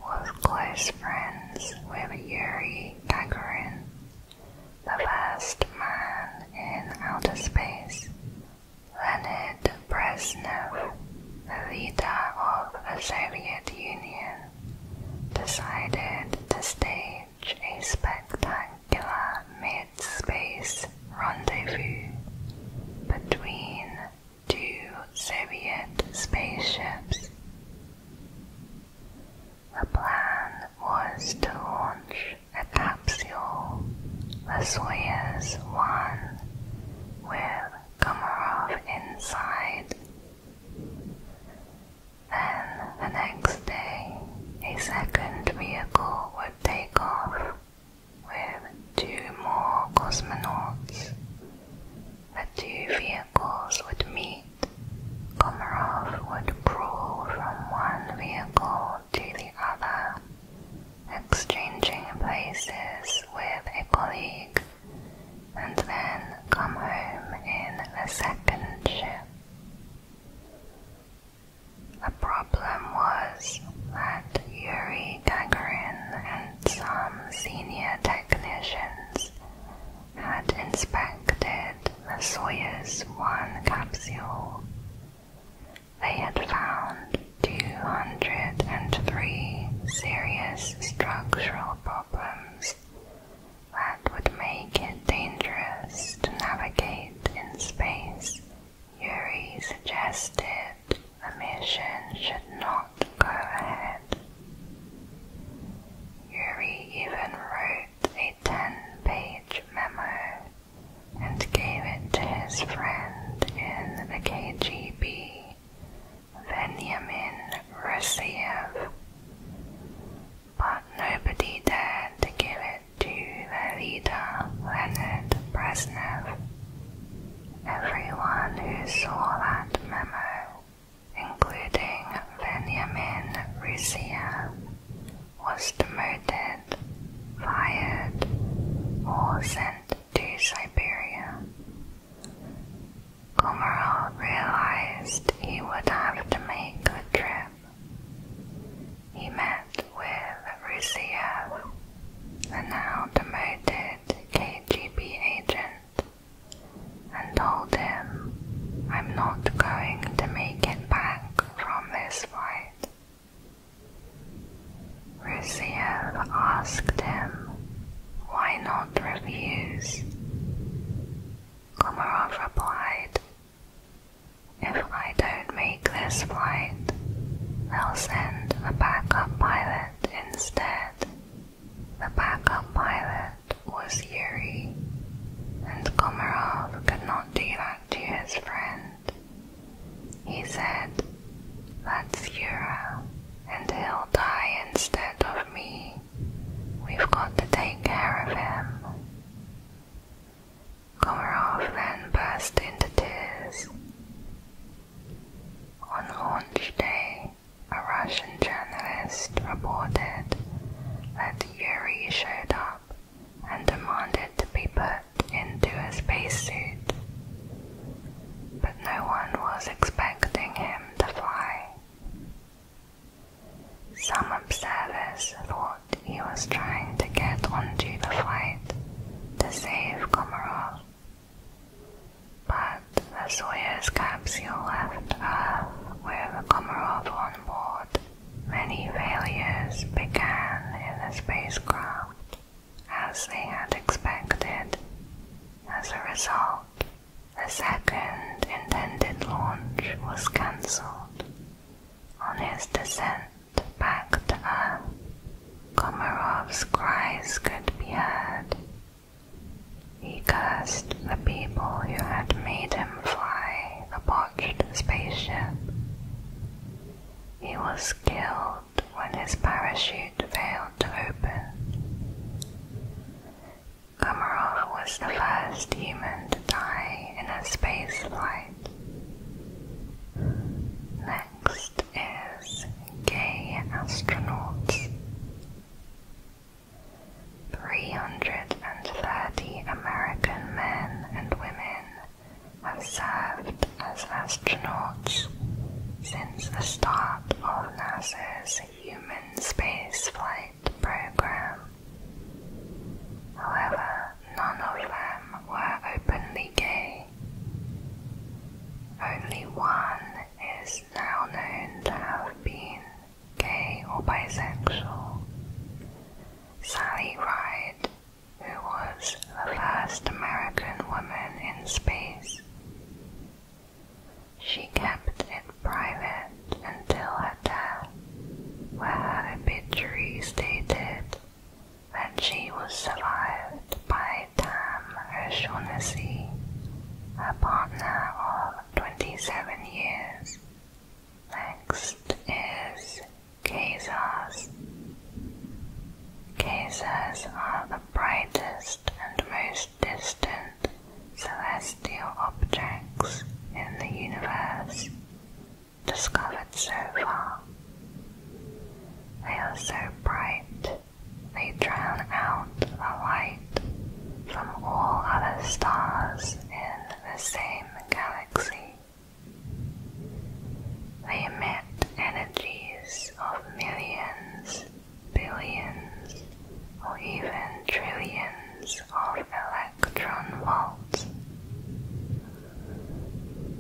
was close friends with Yuri Gagarin, the first man in outer space. Leonid Brezhnev, the leader of the Soviet Union, decided to stage a spectacular mid-space rendezvous between two Soviet spaceships. The plan was to launch a capsule, the Soyuz 1, with Komarov inside. Then the next day, a second vehicle would take off with two more cosmonauts. The two vehicles would meet, Komarov would crawl from one vehicle to the other, exchanging places with a colleague, and then come home in the second ship. The problem was that Yuri Gagarin and some senior technicians had inspected the Soyuz 1 capsule. They had found 203 serious structural problems that would make it dangerous to navigate in space. Yuri suggested the mission should not go ahead. Yuri even wrote a ten-page memo and gave it to his friend in the KGB, Veniamin Rossiev. But nobody dared to give it to the leader, Leonid Brezhnev. Everyone who saw that memo including Benjamin Ruzia, was demoted, fired, or sent to Siberia. Komarov realized he would have to make the trip. He met with Rusiev, the now demoted KGB agent, and told him, I'm not going to make it back from this flight." Rusiev asked him, Why not refuse? Komarov replied, If I don't make this flight, they'll send a backup pilot instead. The backup pilot was Yuri, and Komarov could not do that to his friend. He said, That's Yura, and he'll die instead of me. We've got to take care of him. Komarov then burst into tears. On launch day, a Russian journalist reported that Yuri showed up and demanded to be put into a spacesuit. But no one was expecting him to fly. Some observers thought he was trying to get onto the flight to save Komarov. But the Soyuz capsule left Earth with Komarov on board. Many failures began in the spacecraft, as they had expected. As a result, the second intended launch was cancelled. On his descent back to Earth, Komarov's cries could be heard he cursed the people who had made him fly the botched spaceship. He was killed when his parachute failed to open. Komarov was the first human to die in a space flight. Next is gay astronauts. 330 American men and women have served as astronauts since the start of NASA's human spaceflight program. However, none of them were openly gay. Only one is now known to have been gay or bisexual. Sally Ride, who was the first American woman in space. She kept it private until her death, where her obituary stated that she was survived by Tam O'Shaughnessy, her partner of 27 years. Next is Khazars. Khazars are the brightest and most distant celestial objects in the universe discovered so far. They are so bright they drown out the light from all other stars in the same galaxy. They emit energies of millions, billions, or even trillions of electron volts.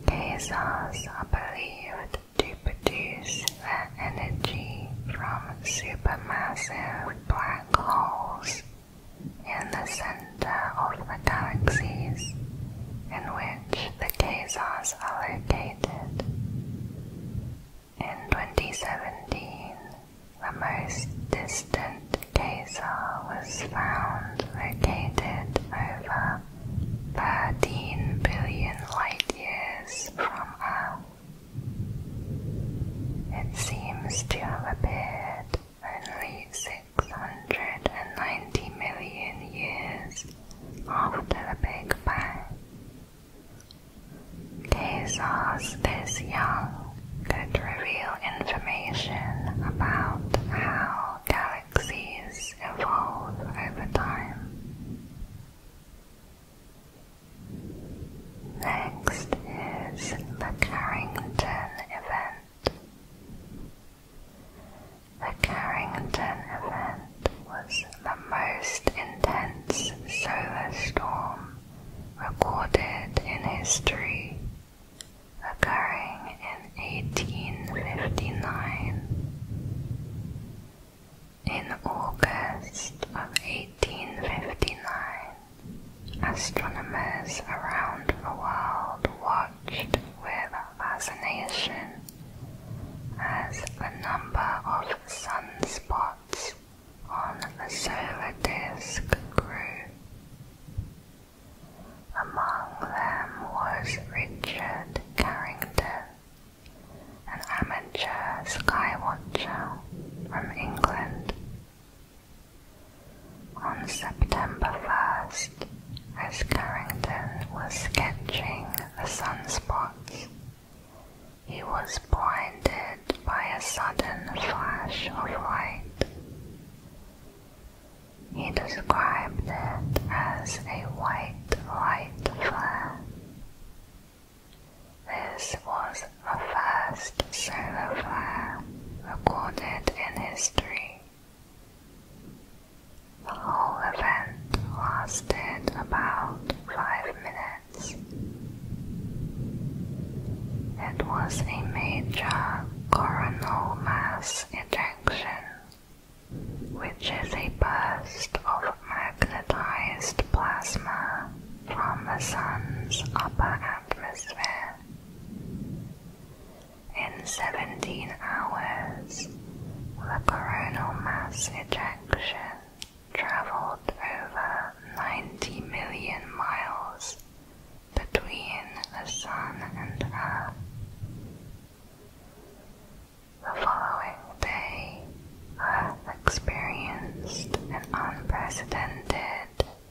Quasars are believed to produce their energy from supermassive black holes in the center of the galaxies in which the quasars are located. In 2017, the most distant quasar was found located over 13 billion light years from Earth. It seems to have appeared only 690 million years after the Big Bang. Quasars this young could reveal information about how galaxies evolve over time. Next is the Carrington event. The Carrington event was the most intense solar storm recorded in history, occurring in 1859. In August of 1859, Astronomers around the world watched with fascination as a number of sunspots on the solar disk grew. Among them was Richard Carrington, an amateur skywatcher from England. On September 1st, as Carrington was sketching the sunspots, he was blinded by a sudden flash of light. He described it as a white white flare. This was a first solar flare recorded in history. The whole event lasted about five minutes. It was a major coronal mass ejection, which is a burst of magnetized plasma from the Sun's upper atmosphere. In 17 hours, the coronal mass ejection traveled over 90 million miles between the Sun and Earth. The following day, experienced an unprecedented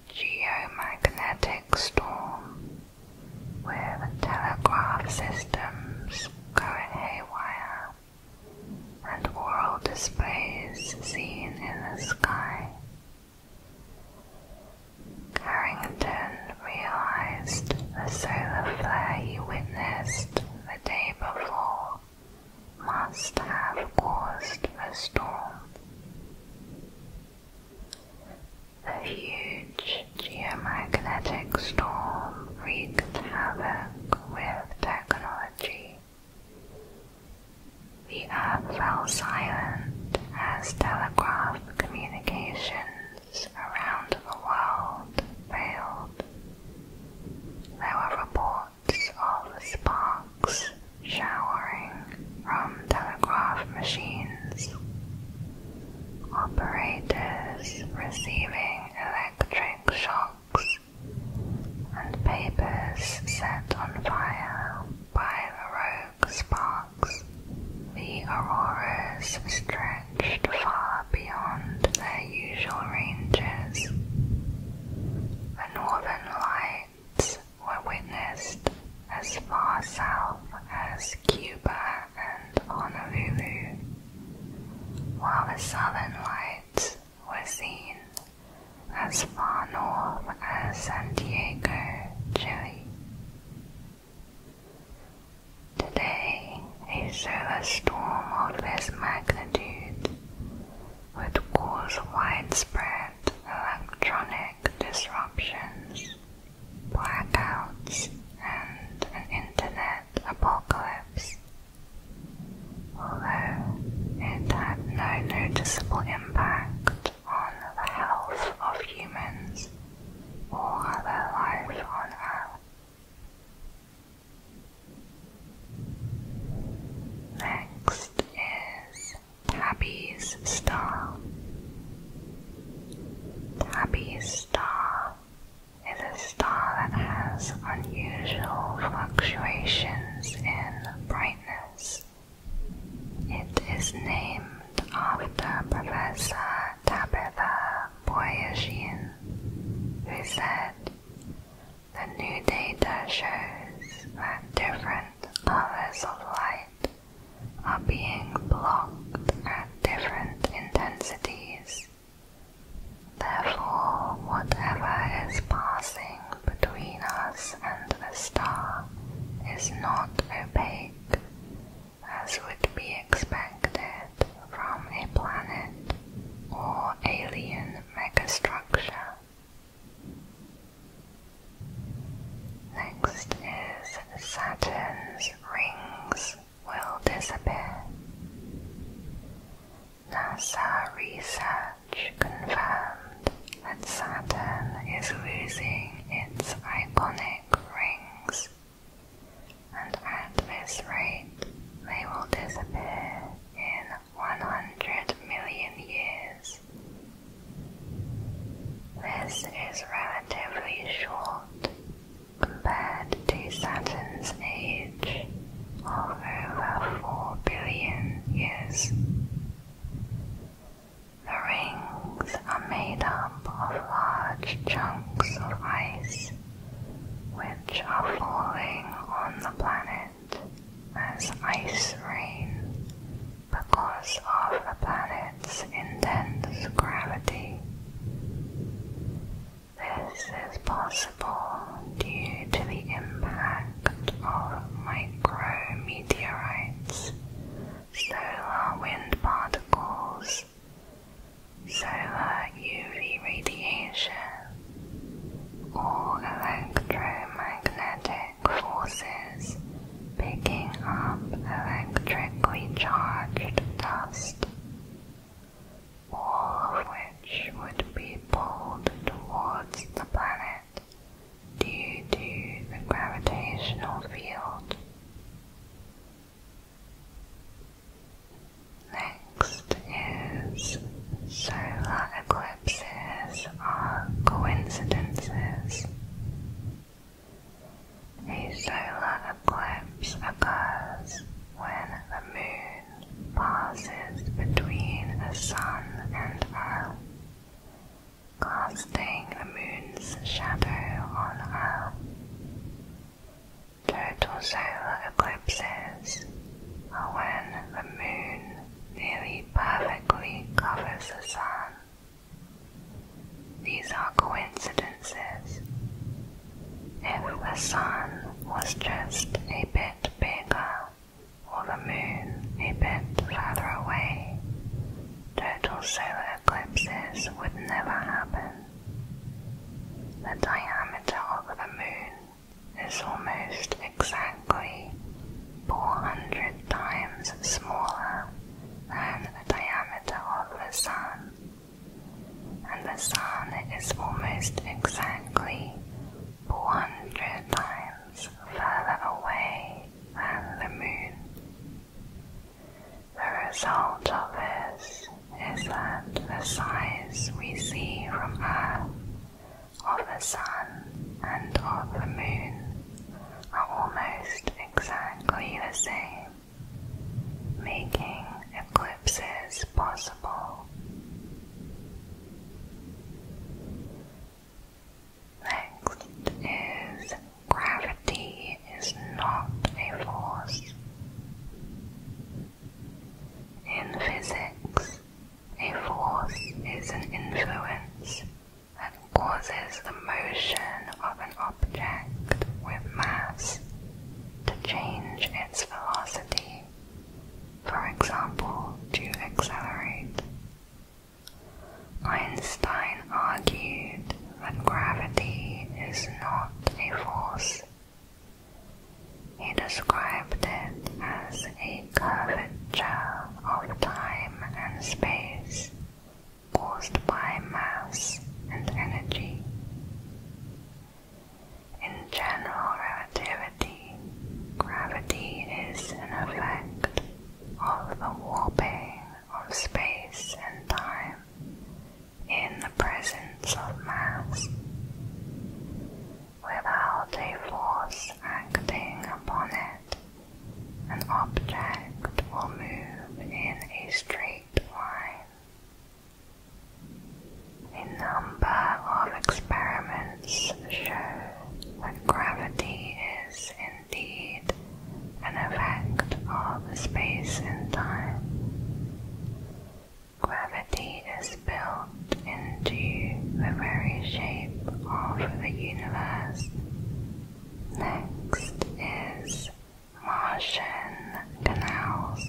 geomagnetic storm with telegraph systems going haywire and auroral displays seen in the sky. Carrington realized the solar flare he witnessed the day before must have caused a storm. A huge geomagnetic storm wreaked havoc with technology. The earth fell silent as telegraph communications around the world failed. There were reports Lots of sparks showering from telegraph machines. Operators receiving electric shocks and papers set on fire by the rogue sparks. The auroras stretched far beyond their usual ranges. The northern light were witnessed as far south as Cuba and Honolulu, while the southern lights were seen as far north as San Diego, Chile. Today, a solar storm of this magnitude would cause widespread electronic disruptions, blackouts, and an internet apocalypse. Although it had no noticeable impact on the health of humans or other life on Earth. Next is Tabby's Star. Tabby's Star is a star that has unusual fluctuations in brightness. It is named after Professor Tabitha Boyersheen, who said, the new data shows that different colors of light are being blocked at different intensities. Therefore, whatever is passing between us and the star is not opaque, as would be expected from a planet or alien megastructure. Next is Saturn's rings will disappear. NASA research confirmed that Saturn is losing its iconic rings, and at this rate, they will disappear in 100 million years. This is relatively short compared to Saturn's age of over 4 billion years. The rings are made up of large chunks of ice which are falling on the planet as ice rain because of the planet's intense gravity. This is possible due to the impact of micrometeorites, solar wind particles, solar UV radiation, or electromagnetic forces picking up electrically charged dust, all of which would be pulled towards the planet due to the gravitational field. Next is solar eclipse ellipses are coincidences. A solar eclipse occurs when the moon passes between the sun and Earth, casting the moon's shadow on Earth. Total solar eclipses are when the moon nearly perfectly covers the sun. These are coincidences. If the sun was just a bit bigger, or the moon a bit further away, total solar eclipses would never happen. The diameter of the moon is almost exactly exactly 400 times smaller than the diameter of the Sun, and the Sun is almost exactly 400 times further away than the Moon. The result of this is that the size we see from Earth of the sun and of the moon are almost exactly the same, making eclipses possible. Next is gravity is not a force. In physics, a force is an influence that causes the motion of an object with mass to change its velocity, for example, to accelerate. Einstein argued that gravity is not a force. He described it as a curvature of time and space caused by mass and energy. In general relativity, gravity is an effect of the warping of space and time in the presence of mass. Without a force acting upon it, an object will move in a straight line. A number of experiments show that gravity is indeed an effect of space and time. Gravity is built into the very shape shape of the universe. Next is Martian canals.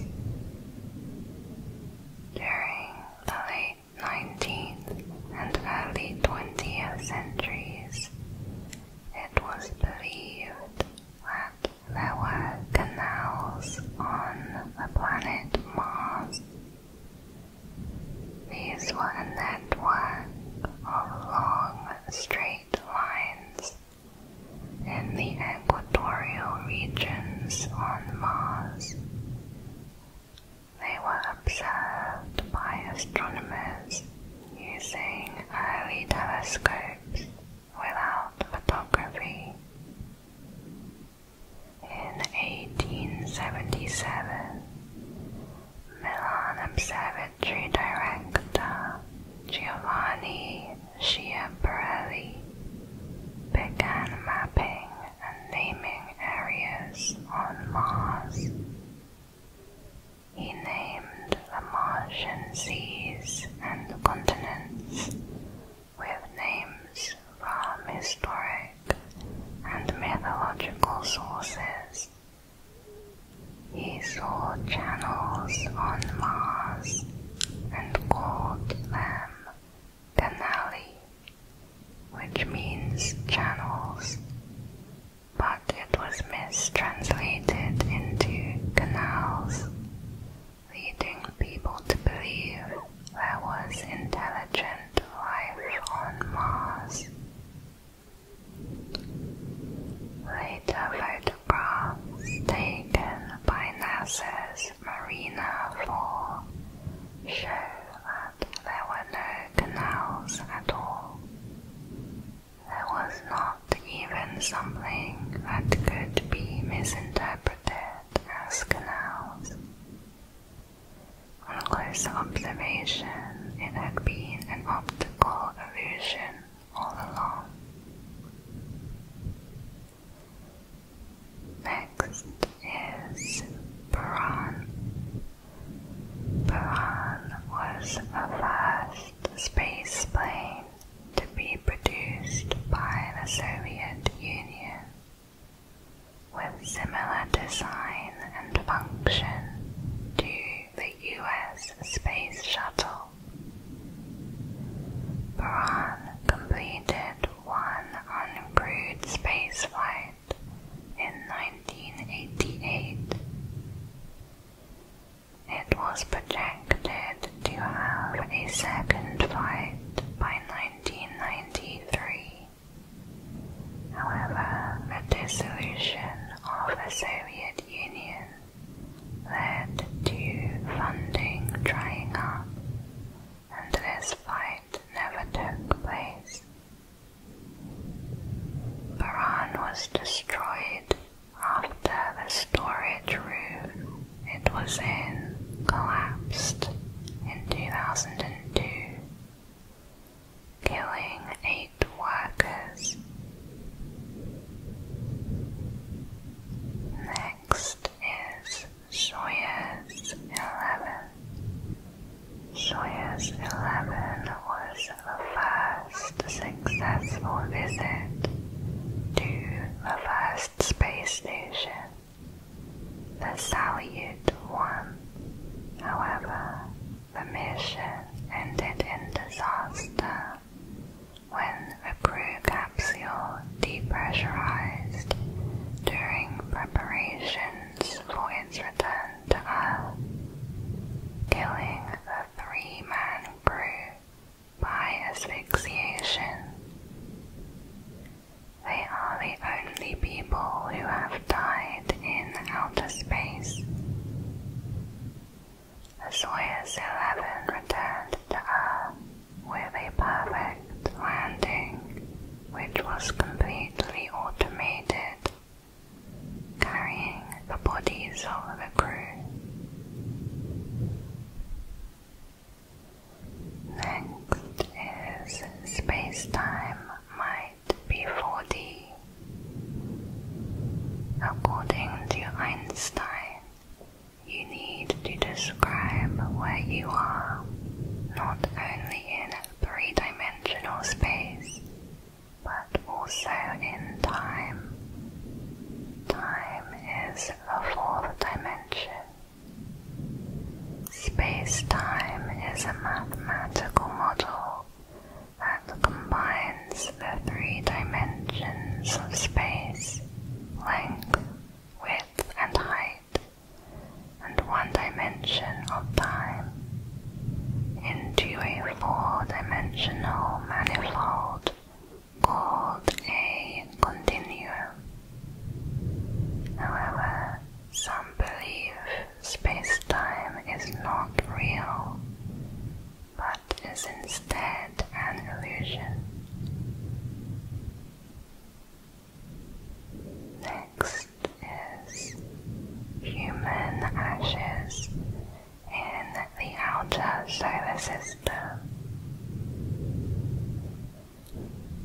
During the late 19th and early 20th centuries, it was believed that there were canals on the planet Mars. These were a network of long, straight lines in the equatorial regions on Mars. They were observed by astronomers using early telescopes without photography. In 1877, Milan Observatory director Giovanni Schiaparelli began mapping and naming areas on Mars. He named the Martian seas and continents with names from history and mythological sources. He saw channels on Mars and called them canali, which means channels, but it was mistranslated into canals, leading people to believe there was intelligent life on Mars. Later photographs taken by NASA's Marina 4 show that there were no canals at all. There was not even something that could be misinterpreted as canals. On close observation, it had been an optical illusion all along. Next is Buran. Buran was the first space to be produced by the Soviet Union with similar design and function to the US Space Shuttle. Buran completed one uncrewed spaceflight in 1988. It was projected to have a second flight by 1993. However, the dissolution of the Soviet Union led to funding drying up, and this fight never took place. Baran was destroyed after the storage room it was in collapsed in 2002 killing eight workers. Next is Sawyer's Eleven. Sawyer's Eleven was the first successful visit to the first space station. The Salyut 1, however, the mission ended in disaster when the crew capsule depressurized during preparations for its return to Earth, killing the three-man crew by asphyxiation. They are the only people people who have died in outer space. The Soyuz 11 returned to Earth with a perfect landing, which was completely automated, carrying the bodies of the crew. Next is Spacetime My before thee. According to Einstein, you need to describe where you are, not only in three dimensional space, but also in time. Time is a fourth dimension. Space time is a mathematical model that combines the three dimensions of space, length, width, and height, and one dimension of time, into a four-dimensional manifold called a continuum. However, some believe space-time is not real, but is instead an illusion. Next is human ashes in the outer solar system.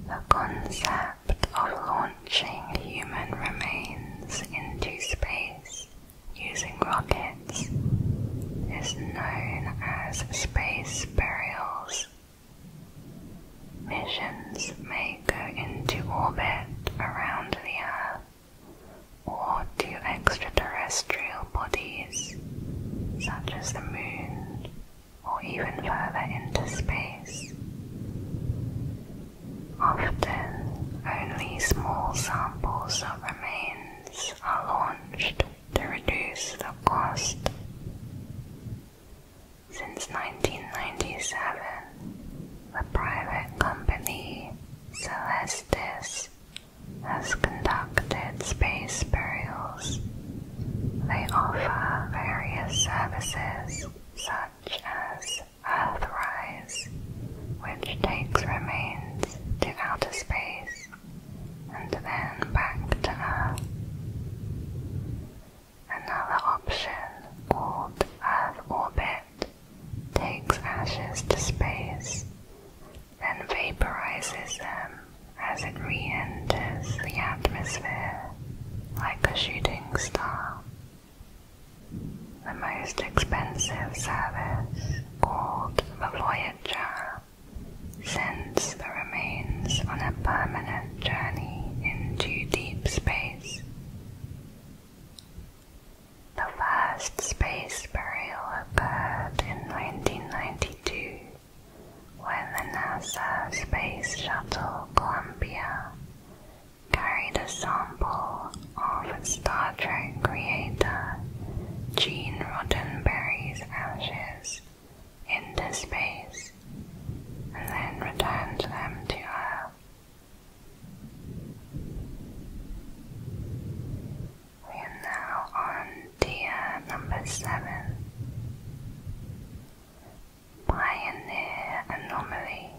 The concept of launching launching human remains into space using rockets is known as space burials. Missions may go into orbit around the Earth or to extraterrestrial bodies such as the moon or even further into space. Often, only small samples of remains are launched to reduce the cost. Since 1997, the private company Celestis has conducted space burials. They offer various services such as Earthrise, which takes remains to outer space and then back to Earth. Another option, called Earth Orbit, takes ashes to space, then vaporizes them as it re-enters the atmosphere like a shooting star. The most expensive service, called the Voyager, sends the remains on a permanent journey into deep space. The first space burial occurred in 1992 when the NASA Space Shuttle Columbia carried a sample of Star Trek creator Gene Roddenberry's ashes into space and then returned them to Earth. We are now on tier number seven. Pioneer Anomaly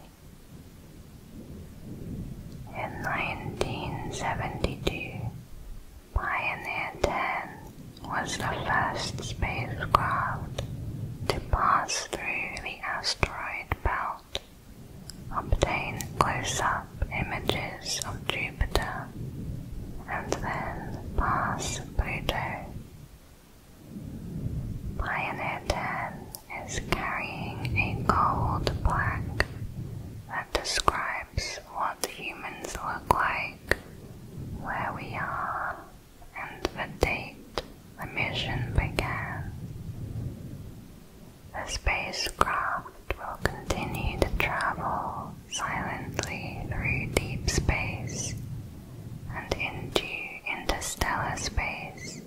in 1972, Pioneer 10 was the first spacecraft to pass through the asteroid belt, obtain close-up images of Jupiter, and then pass Pluto. Pioneer 10 is carrying a gold plaque that describes what humans look like, where we are, and the date the mission began. The spacecraft will continue to travel silently through deep space and into interstellar space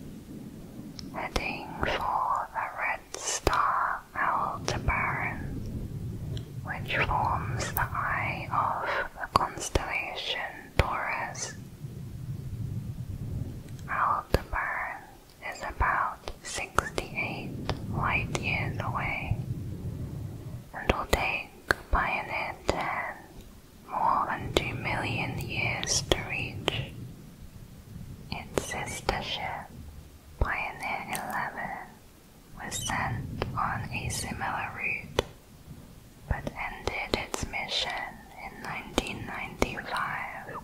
heading for the red star Aldebaran, which forms the eye of the constellation Taurus. Aldebaran is about 68 light years away and will take Pioneer 10 more than 2 million years to reach. Its sister ship, Pioneer 11, was sent on a similar route, but ended its mission in 1995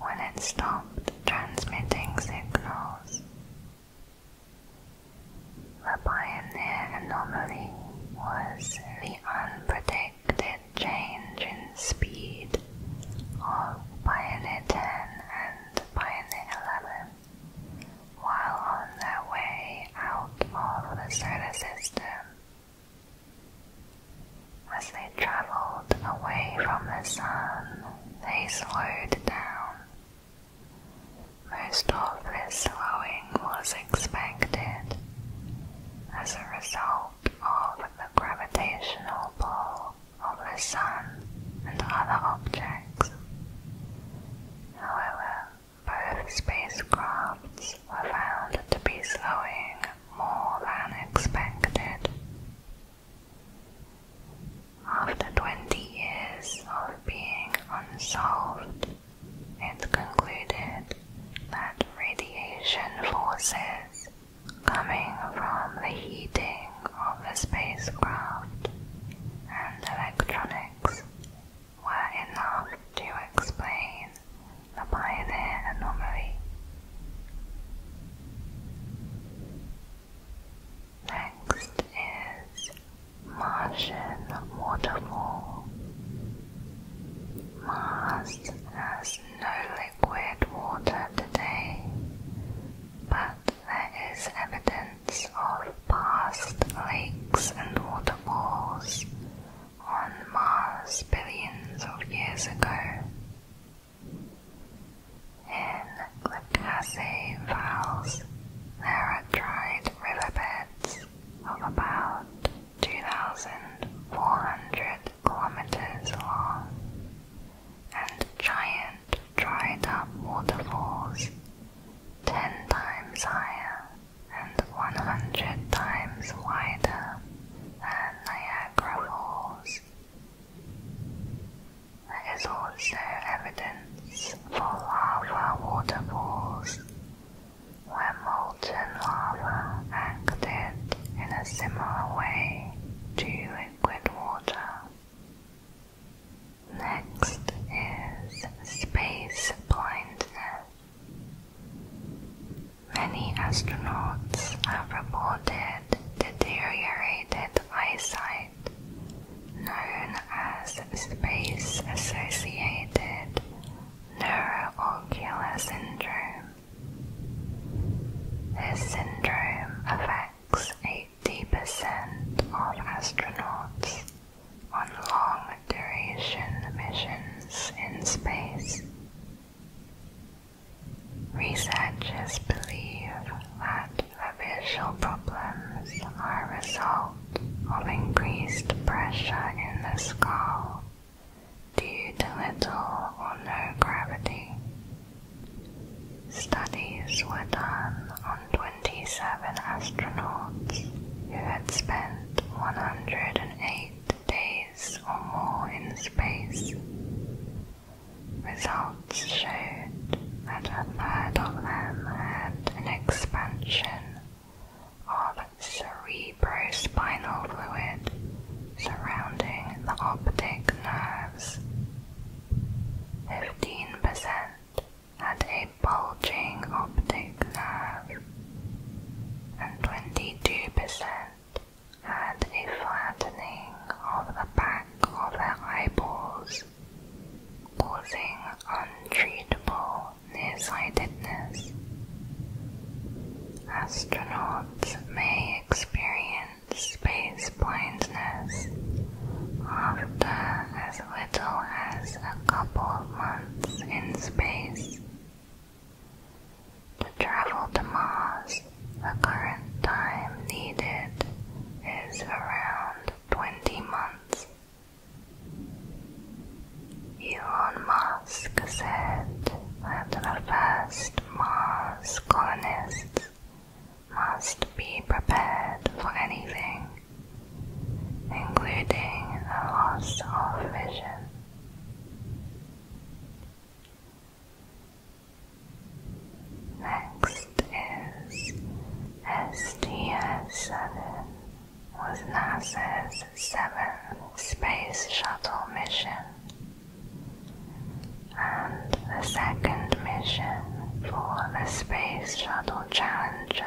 when it stopped transmitting signals. The Pioneer anomaly was the unpredictable predicted change in speed of Pioneer 10 and Pioneer 11 while on their way out of the solar system. As they traveled away from the sun, they slowed down. Most of this slowing was expected as a result of the gravitational pull of the Sun and other objects. However, both spacecrafts were found to be slowing more than expected. After 20 years of being unsolved, it concluded that radiation forces coming from the heating of the spacecraft and electronics were enough to explain the Pioneer anomaly. Next is Martian Waterfall. Mars, as no liquid water today, but there is evidence of past lakes and waterfalls on Mars billions of years ago. In the Cassie Vals, there are dried riverbeds of about 2,400 kilometers long, and giant dried up waterfalls, ten times higher and one hundred times wider than Niagara Falls. There is also evidence for lava waterfalls, where molten lava in a similar way to liquid water. Next is space blindness. Many astronauts have reported deteriorated eyesight, known as space associated neuroocular syndrome. This syndrome affects 80% of astronauts on long duration missions in space. Researchers believe that the visual problems are a result of increased pressure in the skull due to little or no gravity. Studies were done on 27 astronauts who had spent 108 days or more in space. Results showed that a third of them had an expansion of cerebral cerebrospinal fluid surrounding the optic nerves. 15% had a bulging optic nerve, and 22% had a flattening of the back of their eyeballs, causing untreatable nearsightedness astronauts may experience space blindness after as little as a couple of months in space. To travel to Mars, the current time needed is around 20 months. Elon Musk said that the first Mars colonists must be prepared for anything, including a loss of vision. Next is STS-7 was NASA's seventh space shuttle mission and the second mission for the Space Shuttle Challenger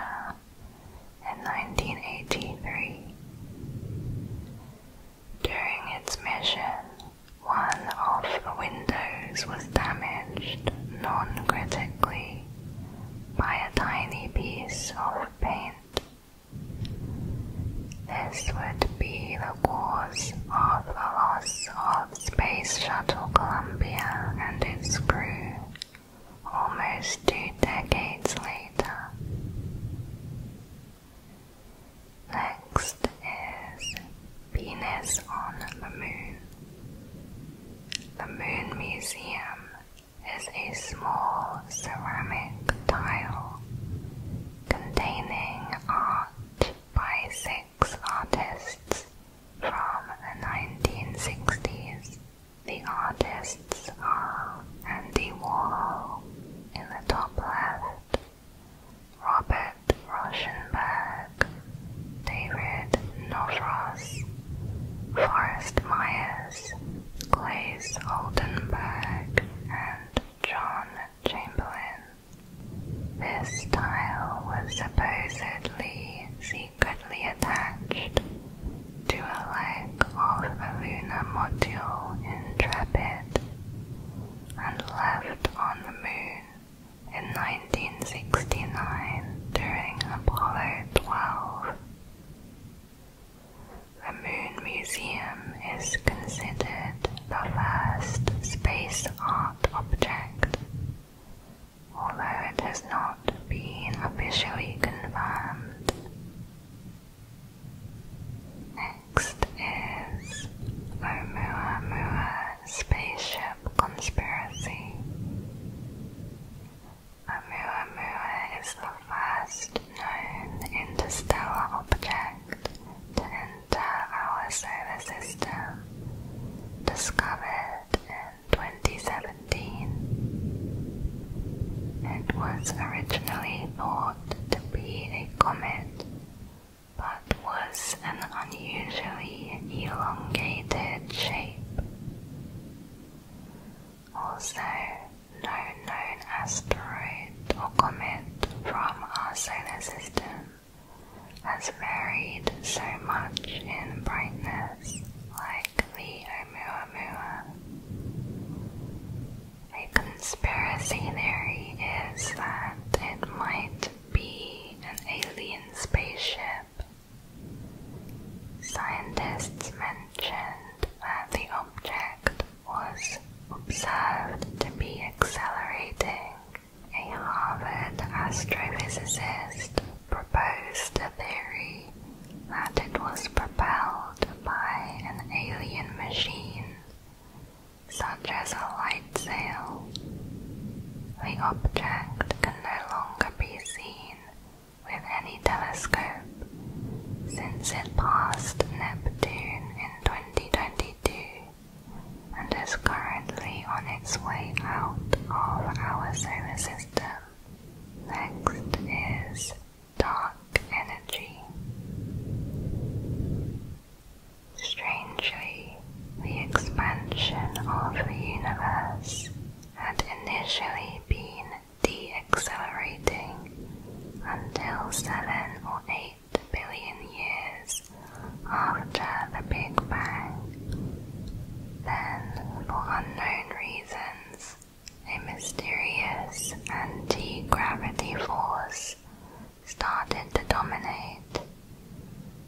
in 1983. During its mission, one of the windows was damaged non critically by a tiny piece of paint this would be the cause of the loss of Space Shuttle Columbia and its crew almost two decades later. Next is Venus on the Moon. The Moon Museum is a small ceramic tile containing art by six artists from the 1960s. The artists are Andy Warhol in the top left, Robert Rauschenberg, David Novros, Forrest Myers, Glaze Oldenburg, and John Chamberlain. This style was supposedly secretly attached to a leg of the lunar module Intrepid and left on the moon in 1969 during Apollo 12. The Moon Museum is considered the first space art object, although it has not been officially confirmed. Next is Oumuamua Spaceship Conspiracy. Oumuamua is the first known interstellar object to enter our solar system, discovered in 2017. It was originally thought to be a comet, but was an unusually elongated shape. Also, no known asteroid or comment from our solar system has varied so much in brightness, like the Oumuamua. A conspiracy theory is that it might be an alien spaceship. Scientists mentioned that the object was observed to be accelerating. A Harvard astrophysicist proposed a theory that it was propelled by an alien machine, such as a light sail. The object can no longer be seen with any telescope since it passed Neptune in 2022 and is currently on its way out of our solar system. Next is dark energy. Strangely, the expansion of the universe had initially been de-accelerating until seven or eight billion years after the Big Bang. Then, for unknown reasons, a mysterious anti-gravity force started to dominate,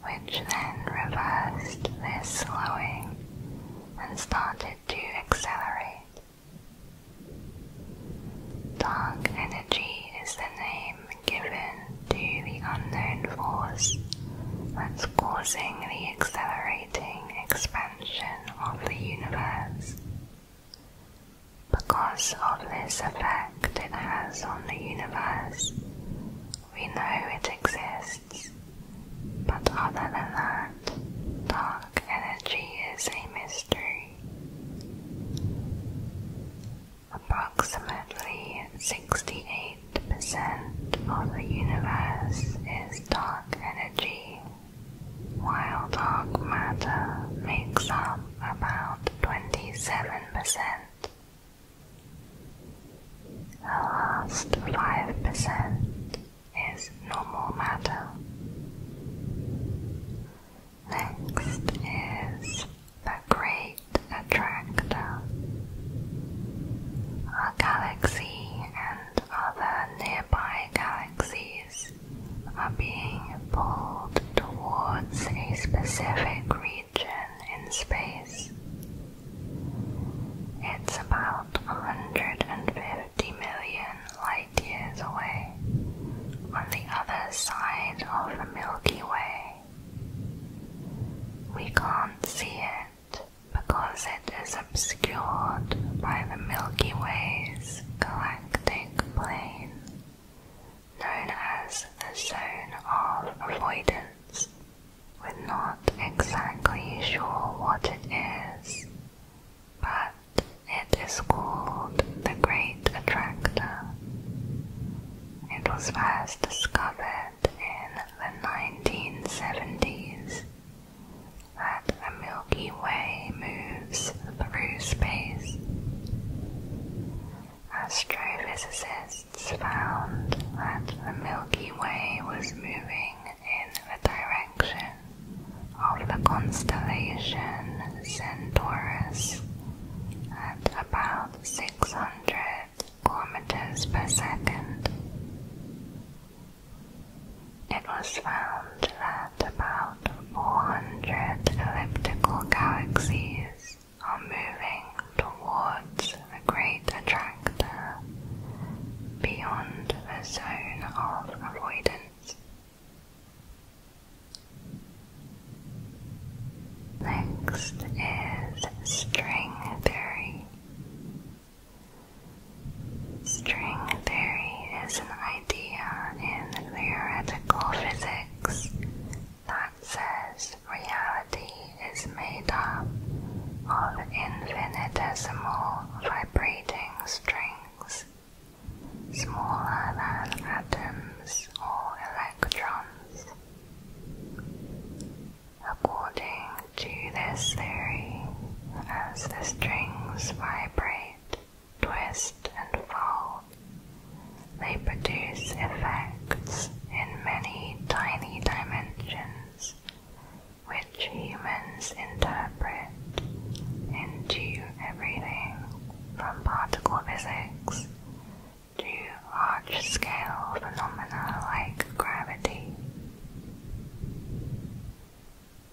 which then reversed this slowing and started to accelerate. Dark energy is the name given to the unknown force that's causing the accelerating expansion of the universe. Because of this effect it has on the universe, we know it exists, but other than that, dark energy is a mystery. Approximately 68% of the universe is dark energy, while dark matter makes up about 27%. The last 5% is normal matter. Next is the Great Attractor. Our galaxy and other nearby galaxies are being pulled towards a specific region in space. It's about 150 million light years away on the other side of the Milky Way. We can't see it because it is obscured by the Milky Way's galactic plane, known as the Zone of Avoidance. We're not exactly sure what it is, but it is called the Great Attractor. It was first discovered in the 1970s that the Milky Way moves through space. Astrophysicists found that the Milky Way was moving in the direction of the constellation Centaurus at about 600 kilometers per second. It was found that about 400 elliptical galaxies are moving towards a Great Attractor beyond a zone of avoidance. Next is string theory. String theory is an idea in theoretical physics that says reality is made up of infinitesimal vibrating strings smaller than atoms or electrons. According to this theory, as the strings vibrate, twist, and fold, they produce effects in many tiny dimensions which humans interpret into everything from particle physics to large-scale phenomena like gravity.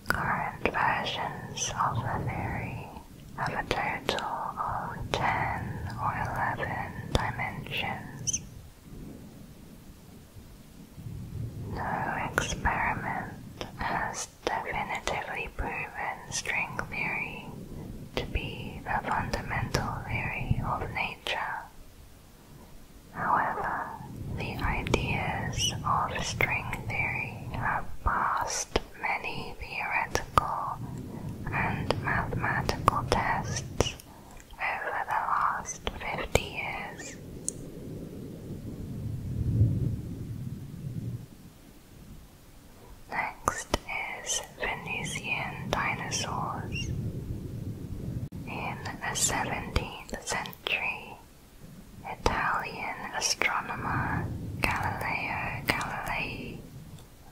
Current versions of the theory have a total of 10 or 11 dimensions. No experiment has definitively proven string theory to be the fundamental theory of nature. However, the ideas of string theory have passed many theoretical and mathematical tests over the last 50 years. Next is Venusian dinosaurs. In the 17th century, Italian astronomer Galileo Galilei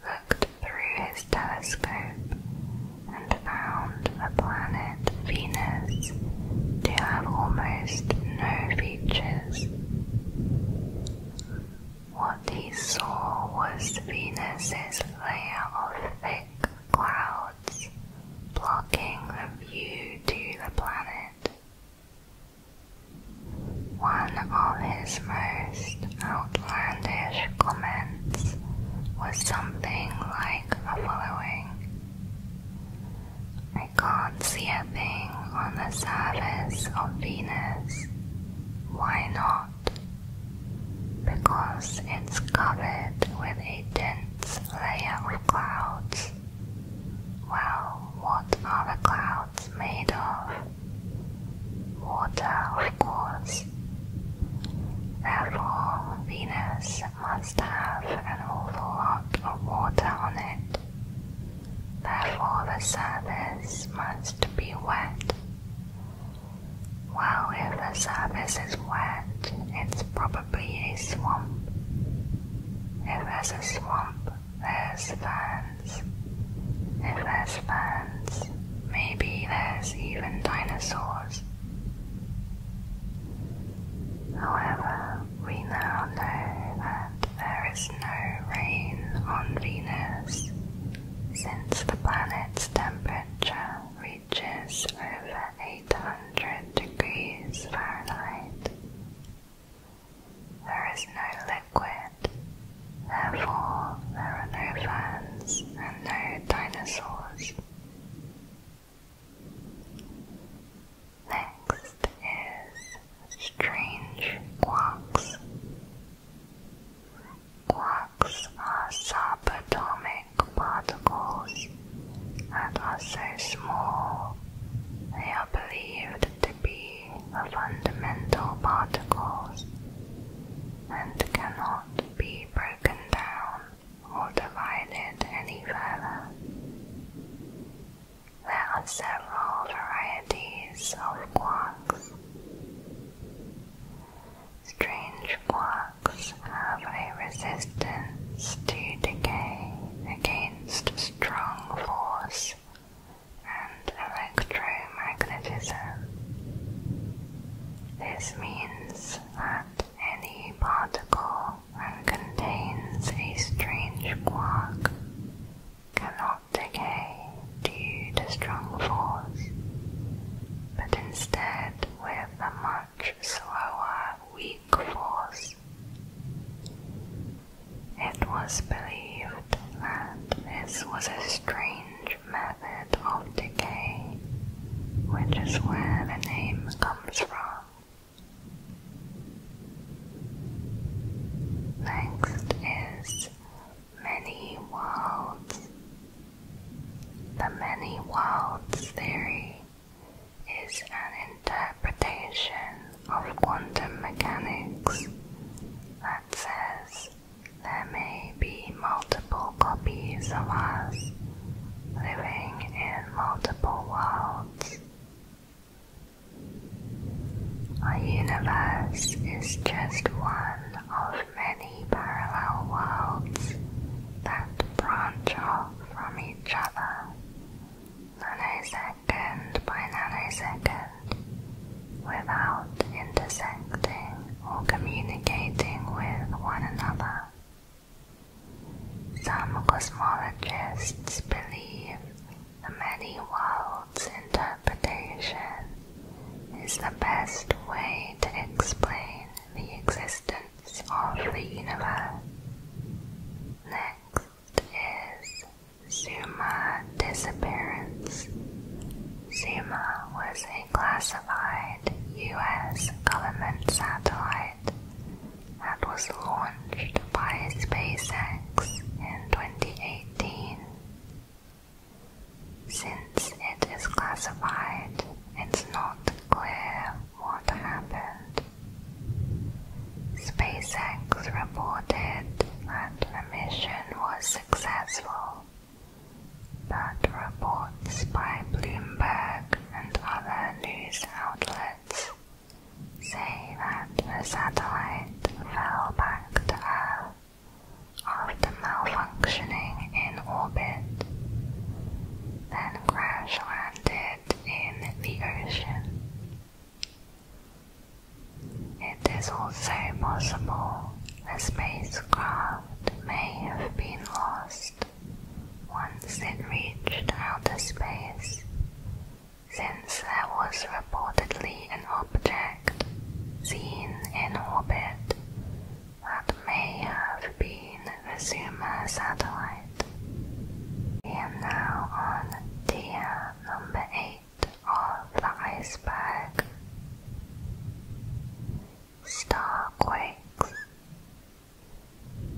looked through his telescope and found the planet Venus to have almost no features. What he saw was Venus's layer of thick clouds blocking the view to the planet. One of his most outlandish comments was something like the following. I can't see a thing on the surface of Venus why not? Because it's covered with a dense layer of clouds. Well, what are the clouds made of? Water, of course. Therefore, Venus must have an awful lot of water on it therefore the surface must be wet. Well, if the surface is wet, it's probably a swamp. If there's a swamp, there's ferns. If there's ferns, maybe there's even dinosaurs. However, we now know that there is no rain on Venus since the planet's temperature reaches over 800 degrees Fahrenheit, there is no liquid, therefore, there are no fans and no dinosaurs. Next is strange quarks quarks are subatomic particles and are so small they are believed to be fundamental particles and cannot be broken down or divided any further. There are several varieties of quarks, Strange quarks have a resistance to decay against strong force and electromagnetism. This means that any particle that contains a strange quark cannot decay due to strong force, but instead with a much slower weak force. It was believed that this was a strange method of decay, which is where the name comes from. Next is many worlds. The many worlds theory is an interpretation of quantum mechanics that says there may be multiple copies of us living in multiple worlds. Our universe is just one of many parallel worlds that branch off from each other, nanosecond by nanosecond, without intersecting or communicating with one another. Some cosmologists believe the many worlds Arnold's interpretation is the best way to explain the existence of the universe. Next is Zuma disappearance. Zuma was a classified US government satellite that was launched by SpaceX in 2018. Since it is classified, it's not clear what happened. SpaceX reported that the mission was successful, but reports by Bloomberg and other news outlets say that the satellite fell back to Earth after malfunctioning in orbit, then crash landed in the ocean. It is also possible the spacecraft may have been lost once it reached outer space, since there was reportedly an object seen in orbit that may have been a Zuma satellite. We are now on tier number 8 of the iceberg. Starquakes.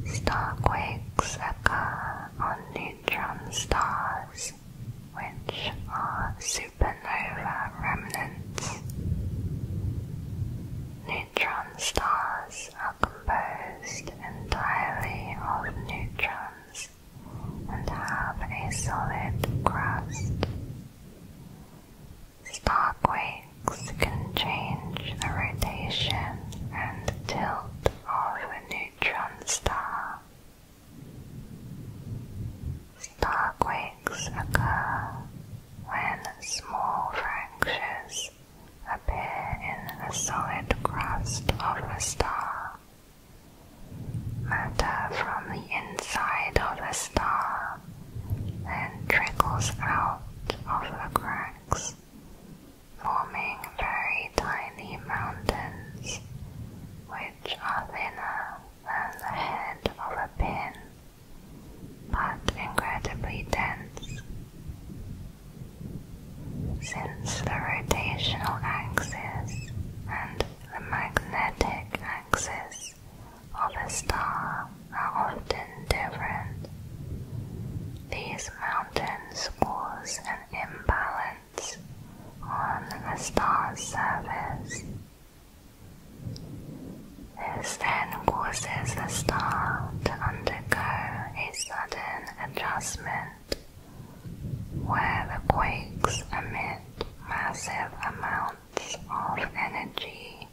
Starquakes occur on neutron stars, which are supernova remnants. Neutron stars are composed entirely of neutrons and have a solid crust. Star can change the rotation and tilt of a neutron star Star quakes occur when small fractures appear in the solid crust of a star. Matter from the inside of the star then trickles out of the cracks, forming very tiny mountains, which are thinner than the head of a pin, but incredibly dense. Since the rotational axis and the magnetic axis of a star are often different, these mountains cause an imbalance on the star's surface. This then causes the star to undergo a sudden adjustment where the quakes emit massive amounts of energy,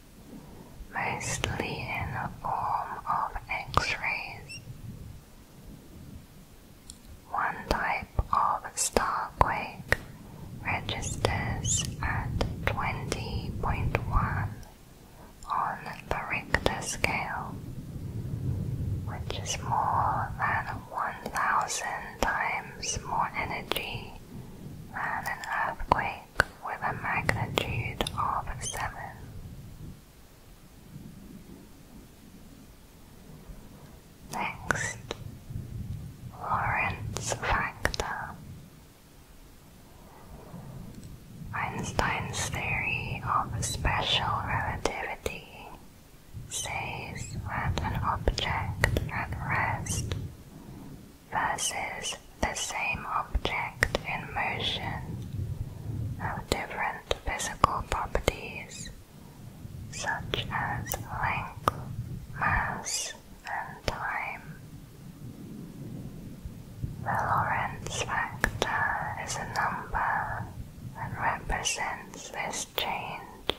mostly in the form of X rays. One type type of starquake registers at 20.1 on the Richter scale, which is more than 1,000 times more energy than an earthquake with a magnitude of 7. Next, Lorentz factor. Einstein's theory of special relativity says that an object at rest versus the same object in motion have different physical properties such as length, mass, and time. The Lorentz factor is a number that represents this change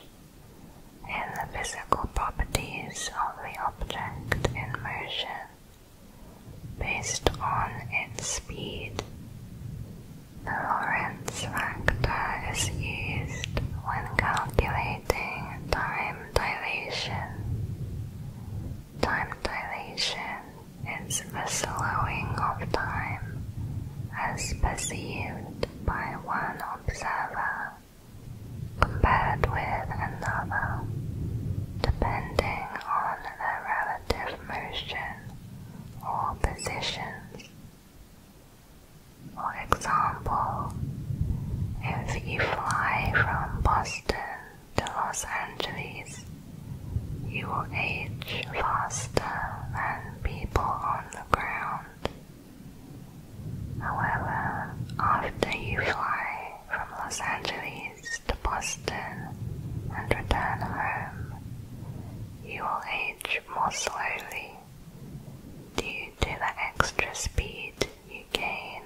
in the physical properties of the object in motion based on its speed. The Lorentz factor is used when calculating time time dilation. Time dilation is a slowing of time as perceived by one observer compared with another, depending on their relative motion or positions. For example, if you fly from Boston to Los Angeles, you will age faster than people on the ground. However, after you fly from Los Angeles to Boston and return home, you will age more slowly due to the extra speed you gain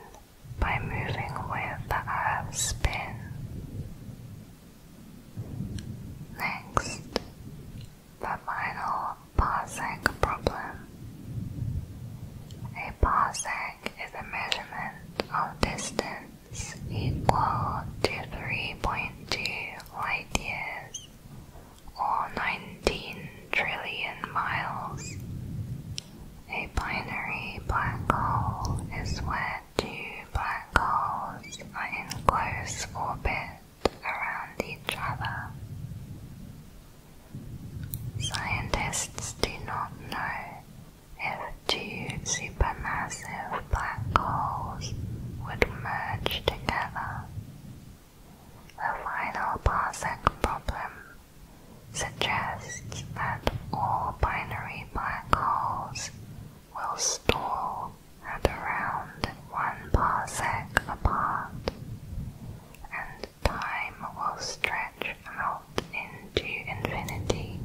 by moving with the Earth's spin. Next, the final parsec problem. A parsec is a measurement of distance equal to 3.2 light years or 19 trillion miles. A binary black hole is where two black holes are in close orbit around each other. Scientists do not know if two supermassive black holes would merge together. The final parsec problem suggests that all binary black holes will stall at around one parsec apart, and time will stretch out into infinity.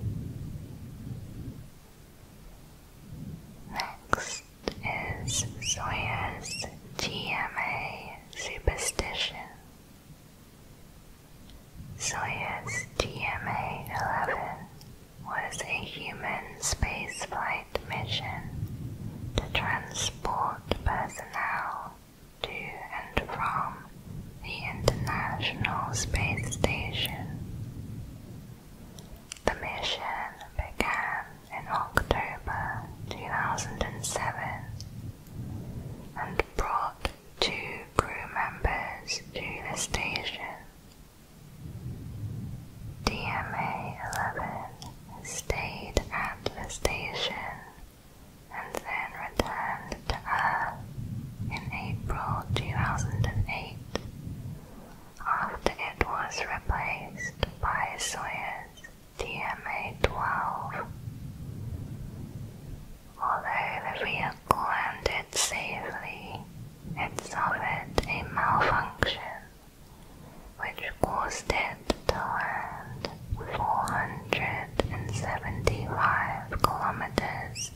Next is Sawyer's TMA superstition. Soyuz DMA 11 was a human spaceflight mission to transport personnel to and from the International Space Station. The mission began in October 2007 and brought two crew members to the station. DMA 11 stayed at the station and then returned to Earth in April 2008 after it was replaced by Soyuz the DMA-12. Although the vehicle landed safely, it suffered a malfunction which caused it to land 475 kilometers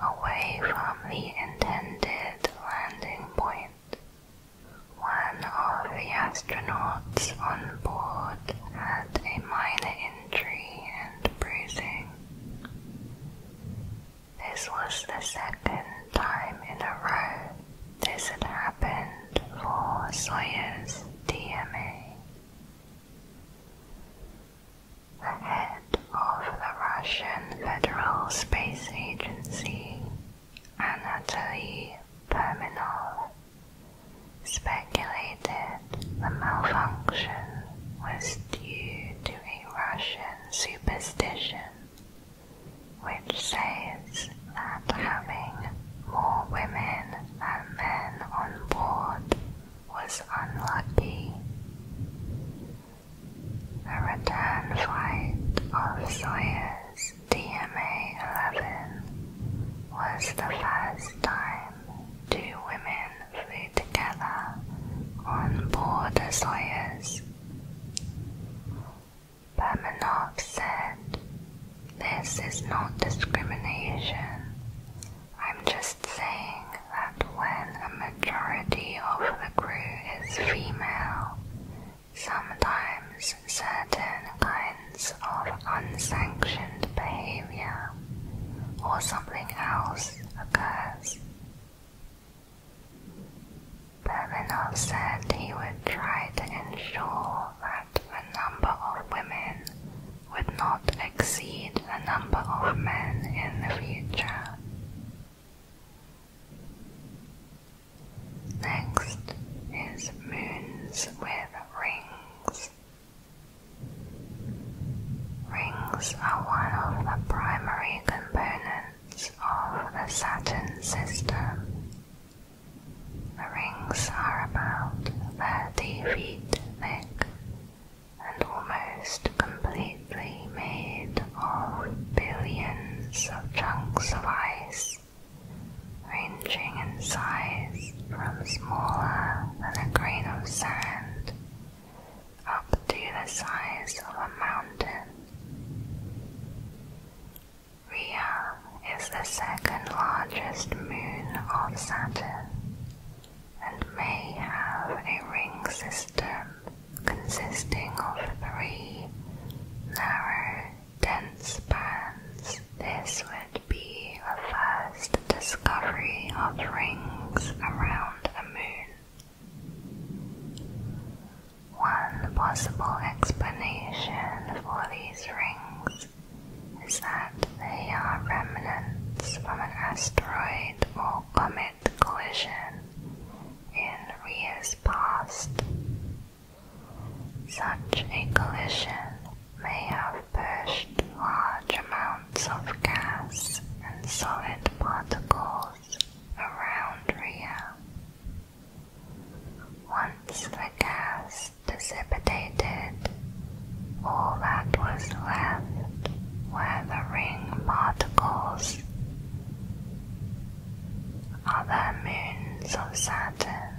away from the intended landing point. One of the astronauts on board had a minor injury and bruising. This was the second time in a row this had happened for Soyuz DMA. The head of the Russian Federal Space Agency, Anatoly Perminov, speculated the malfunction was due to a Russian superstition which says that having more women than men on board was unlucky. The return flight of Soyuz DMA 11 was the first time two women flew together on board a Soyuz. Bermanov said, This is not discrimination. I'm just saying that when a majority of the crew is female, sometimes certain kinds of unsanctioned behavior or something else occurs. Bermanov said he would try to ensure that the number of women would not exceed the number of men in the future. Next is moons with rings rings. are one of the primary components of the Saturn system. The rings are about 30 feet thick and almost completely made of billions of chunks of ice ranging in size from smaller than a grain of sand up to the size of a mountain. Rhea is the second largest moon of Saturn and may have a ring system consisting of three narrow Dense bands. This would be a first discovery of rings around a moon. One possible explanation for these rings is that they are remnants from an asteroid or comet collision in years past such a collision may have pushed large amounts of gas and solid particles around Rhea. Once the gas dissipated, all that was left were the ring particles. Other moons of Saturn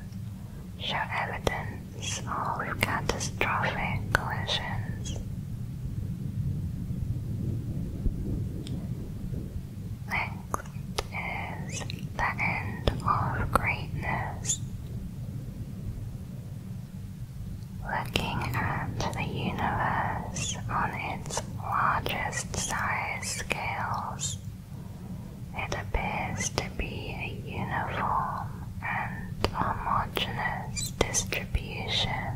show evidence small catastrophic collisions. Next is the end of greatness. Looking at the universe on its largest size scales it appears to be a uniform and homogeneous distribution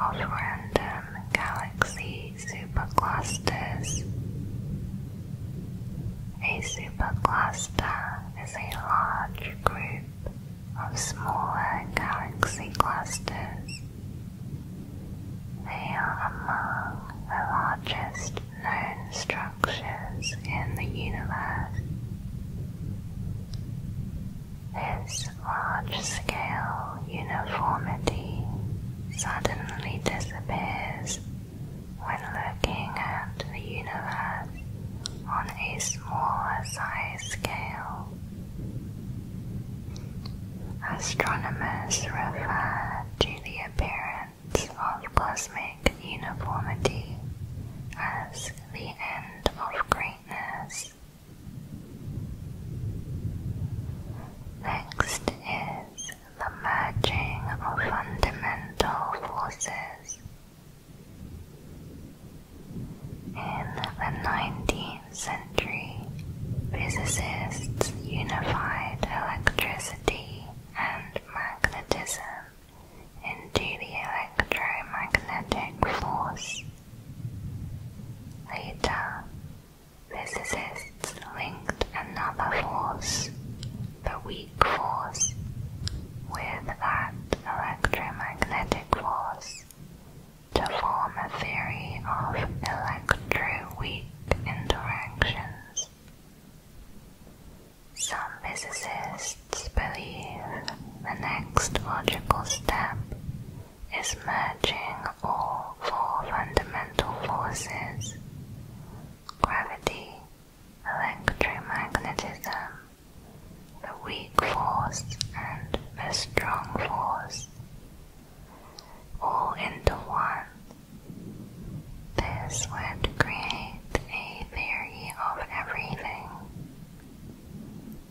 of random galaxy superclusters. A supercluster is a large group of smaller galaxy clusters. They are among the largest known structures in the universe. This large-scale uniformity suddenly disappears when looking at the universe on a smaller size scale. Astronomers refer to the appearance of cosmic uniformity as the end of greatness. Next is the merging of fundamental forces. In the 19th century, physicists unified electricity and magnetism into the electromagnetic force. Later, physicists linked another force, the weak force, with that electromagnetic force to form a theory of electroweak interactions. Some physicists believe the next logical step is merging all four fundamental forces gravity, electromagnetism, the weak force, and the strong force all into one this would create a theory of everything.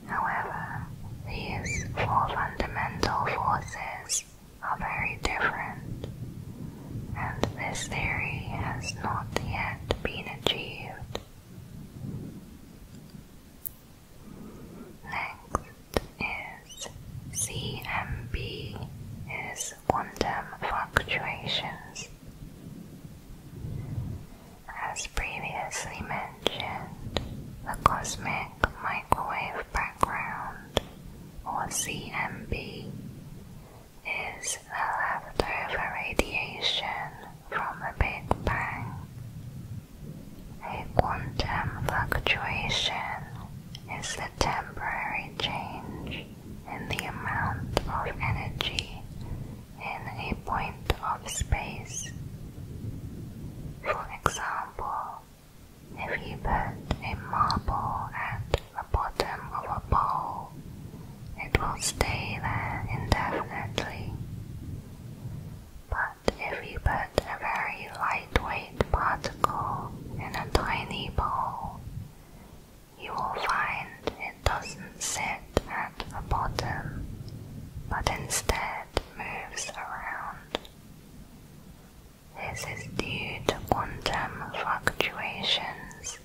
However, these four fundamental forces are very different, and this theory has not yet been achieved. Next is CMB is quantum fluctuations as previously mentioned, the Cosmic Microwave Background, or CMB, is the leftover radiation from the Big Bang. A quantum fluctuation is the temporary change in the amount of energy in a point of space. For example, if you put a marble at the bottom of a bowl, it will stay there indefinitely. But if you put a very lightweight particle in a tiny bowl, you will find it doesn't sit at the bottom, but instead moves around. This is due to quantum fluctuations.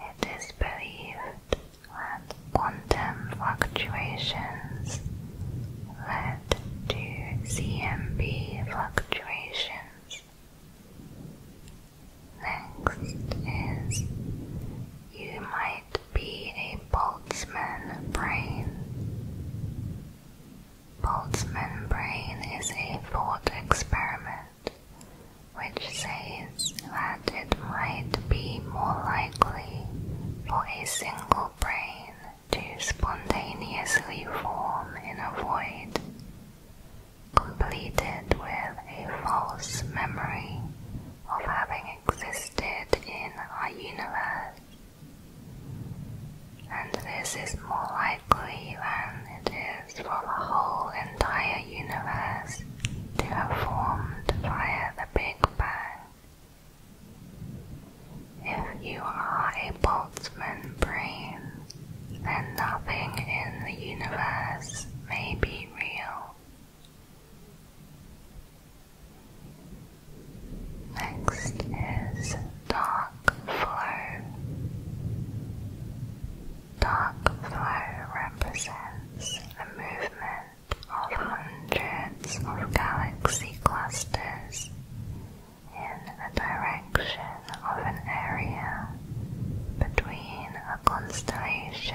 It is believed that quantum fluctuations led to CMB fluctuations. Next is you might be a Boltzmann brain. Boltzmann brain is a thought experiment which says that it might be more likely for a single brain to spontaneously form in a void completed with a false memory of having existed in our universe. And this is more likely than it is for the whole entire universe to have formed via the Big Bang. If you are a Boltzmann brain, then nothing in the universe may be real. Next is dark flow. Dark flow represents the movement of hundreds of galaxy clusters in the direction of an area between the constellations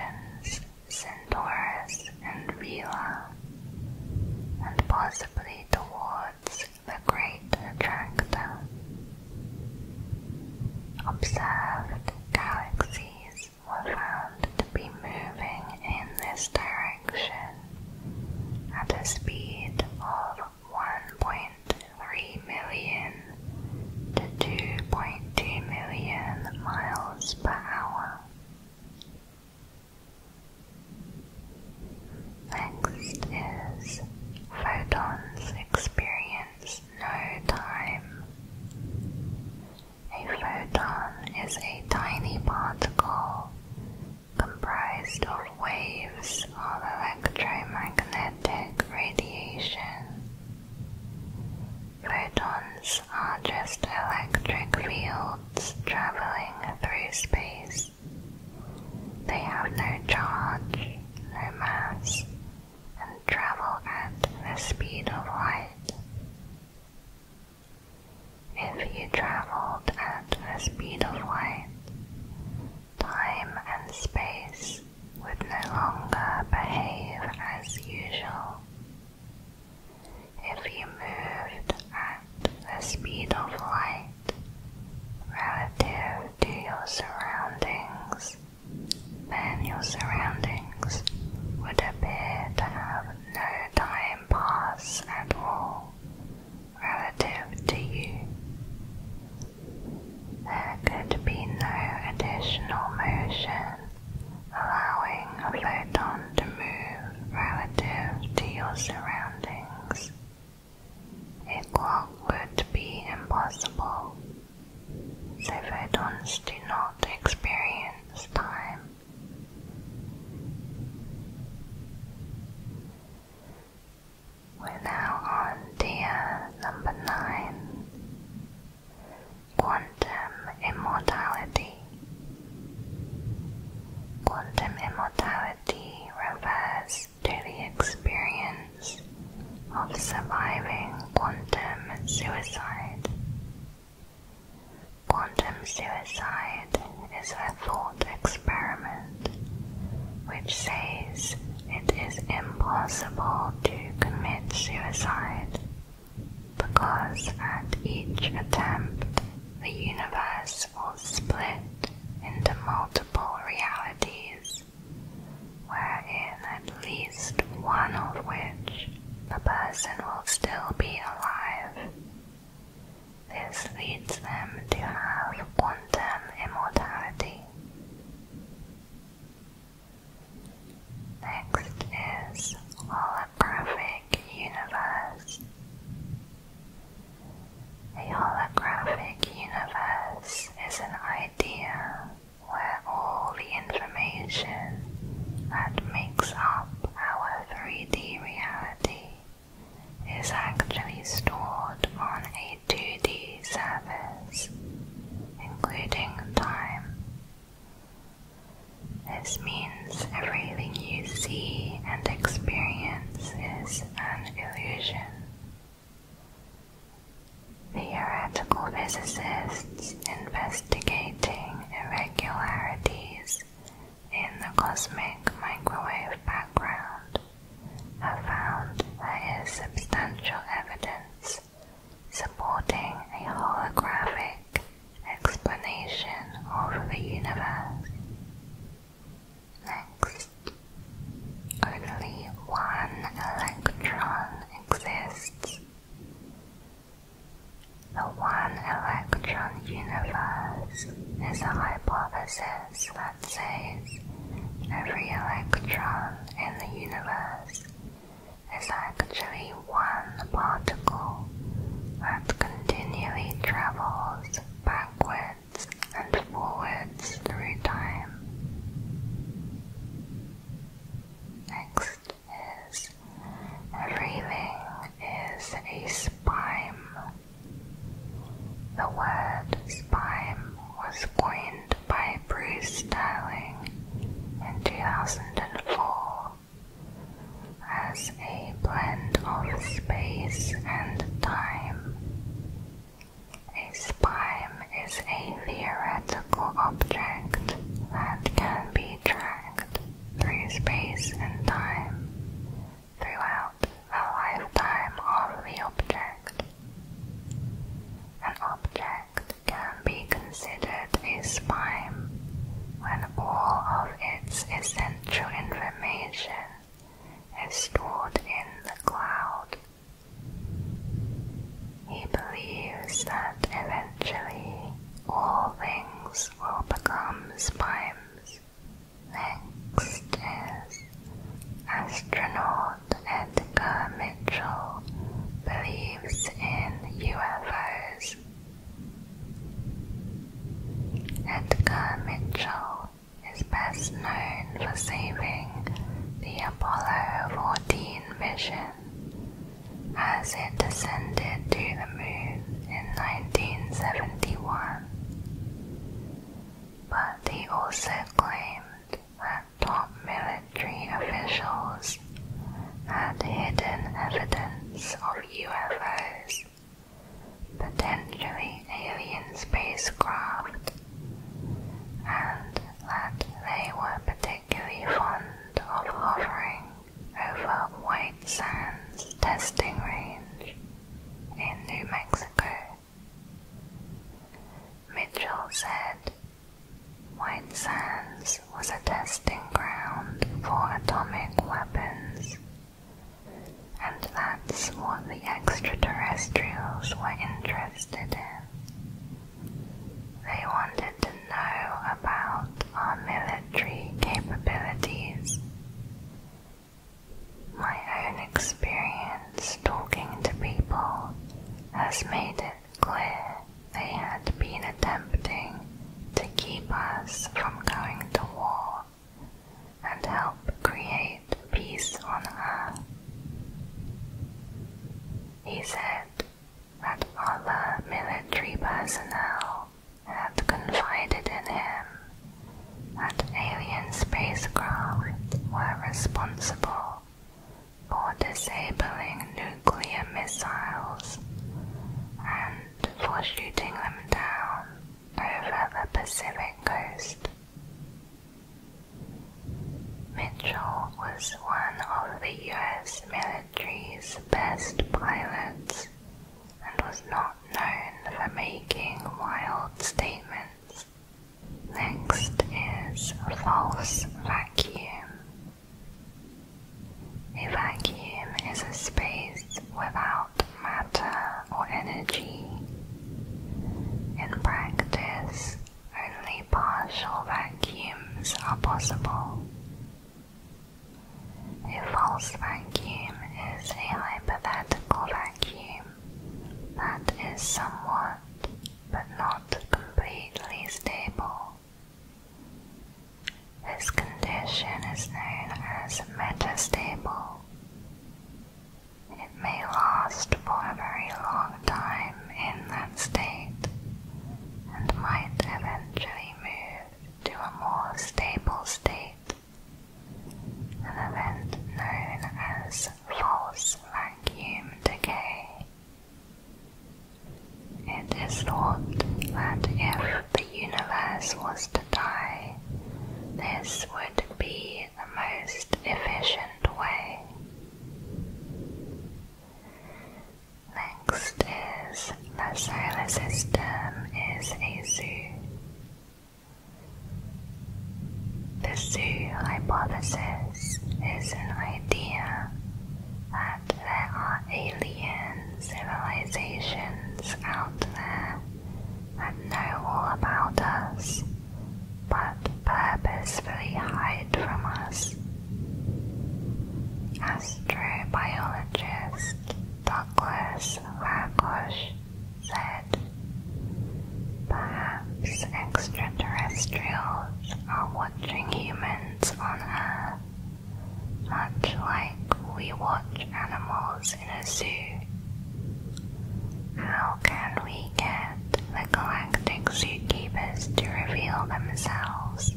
Centaurus and Vela, and possibly towards the Great Attractor. Observed galaxies were found to be moving in this direction at a speed of 1.3 million to 2.2 million miles per hour. Next is photons experience no time. A photon is a tiny particle comprised of waves all electromagnetic radiation. Photons are just electric fields traveling through space. They have no charge, no mass, and travel at the speed of light. If you traveled at the speed of light, time and space would no longer behave as usual. If you moved at the speed of light relative to your surroundings, then your surroundings would appear to have no time pass at all relative to you. There could be no additional motion allowing a photon to move relative to your surroundings. A clock would be impossible, photons do not experience time. We're now on tier number 9 Quantum Immortality. Quantum immortality refers to the experience of surviving quantum suicide. Quantum suicide is a thought experiment which says it is impossible to commit suicide because at each attempt the universe will split into multiple realities, wherein at least one of which the person will still be alive. This leads them to have quantum immortality. Next is holographic universe. A holographic universe is an idea where all the information that makes up our 3D reality is actually stored on a to 2D service, including time. This means everything you see and experience is an illusion. Theoretical physicists investigating irregularities in the cosmic microwave background have found there is substantial evidence supporting a holographic explanation of the universe. Next, only one electron exists. The one electron universe is a hypothesis that says every electron in the universe universe is actually one particle that continually travels backwards and forwards through time. Next is everything is a spime. The word spime was coined by Bruce Sterling in 2004 as a blend of space and time. A spime is a theoretical object that can be tracked through space and time throughout the lifetime of the object. An object can be considered a spime when all of its essential information is stored in the cloud. He believes that eventually all things will become spimes. Next is astronaut. Scott Edgar Mitchell believes in UFOs. Edgar Mitchell is best known for saving the Apollo 14 mission as it descended to the moon in 1971. But he also claimed that top military officials had hidden evidence of UFOs, potentially alien spacecraft, and that they were particularly fond of hovering over White Sands testing range in New Mexico. Mitchell said, White Sands was a testing ground for atomic weapons, and that's what the extraterrestrials were interested in. They wanted to know about our military capabilities. My own experience talking to people has made it clear they had been attempting to keep us from going to war and help create peace on earth. He said that all the military personnel had confided in him that alien spacecraft were responsible for disabling nuclear missiles and for shooting them down over the Pacific coast. Mitchell was one of the US military's best pilots and was not known for making wild statements. Next is false vacuum. A vacuum is a space without matter or energy. In practice, only partial vacuums are possible. A false vacuum is a hypothetical vacuum that is somewhat but not completely stable. This condition is known as metastable. It may last for a very long time in that state and might eventually move to a more stable state, an event known as false vacuum decay. It is thought that if the universe was to die, this would be the most efficient way. Next is the solar system is a zoo. The zoo hypothesis is an idea that there are alien civilizations out there that know all about us, but purposefully hide from us. Astrobiologist Douglas Lagosh said, Perhaps extraterrestrials are what watching humans on Earth, much like we watch animals in a zoo. How can we get the galactic zookeepers to reveal themselves?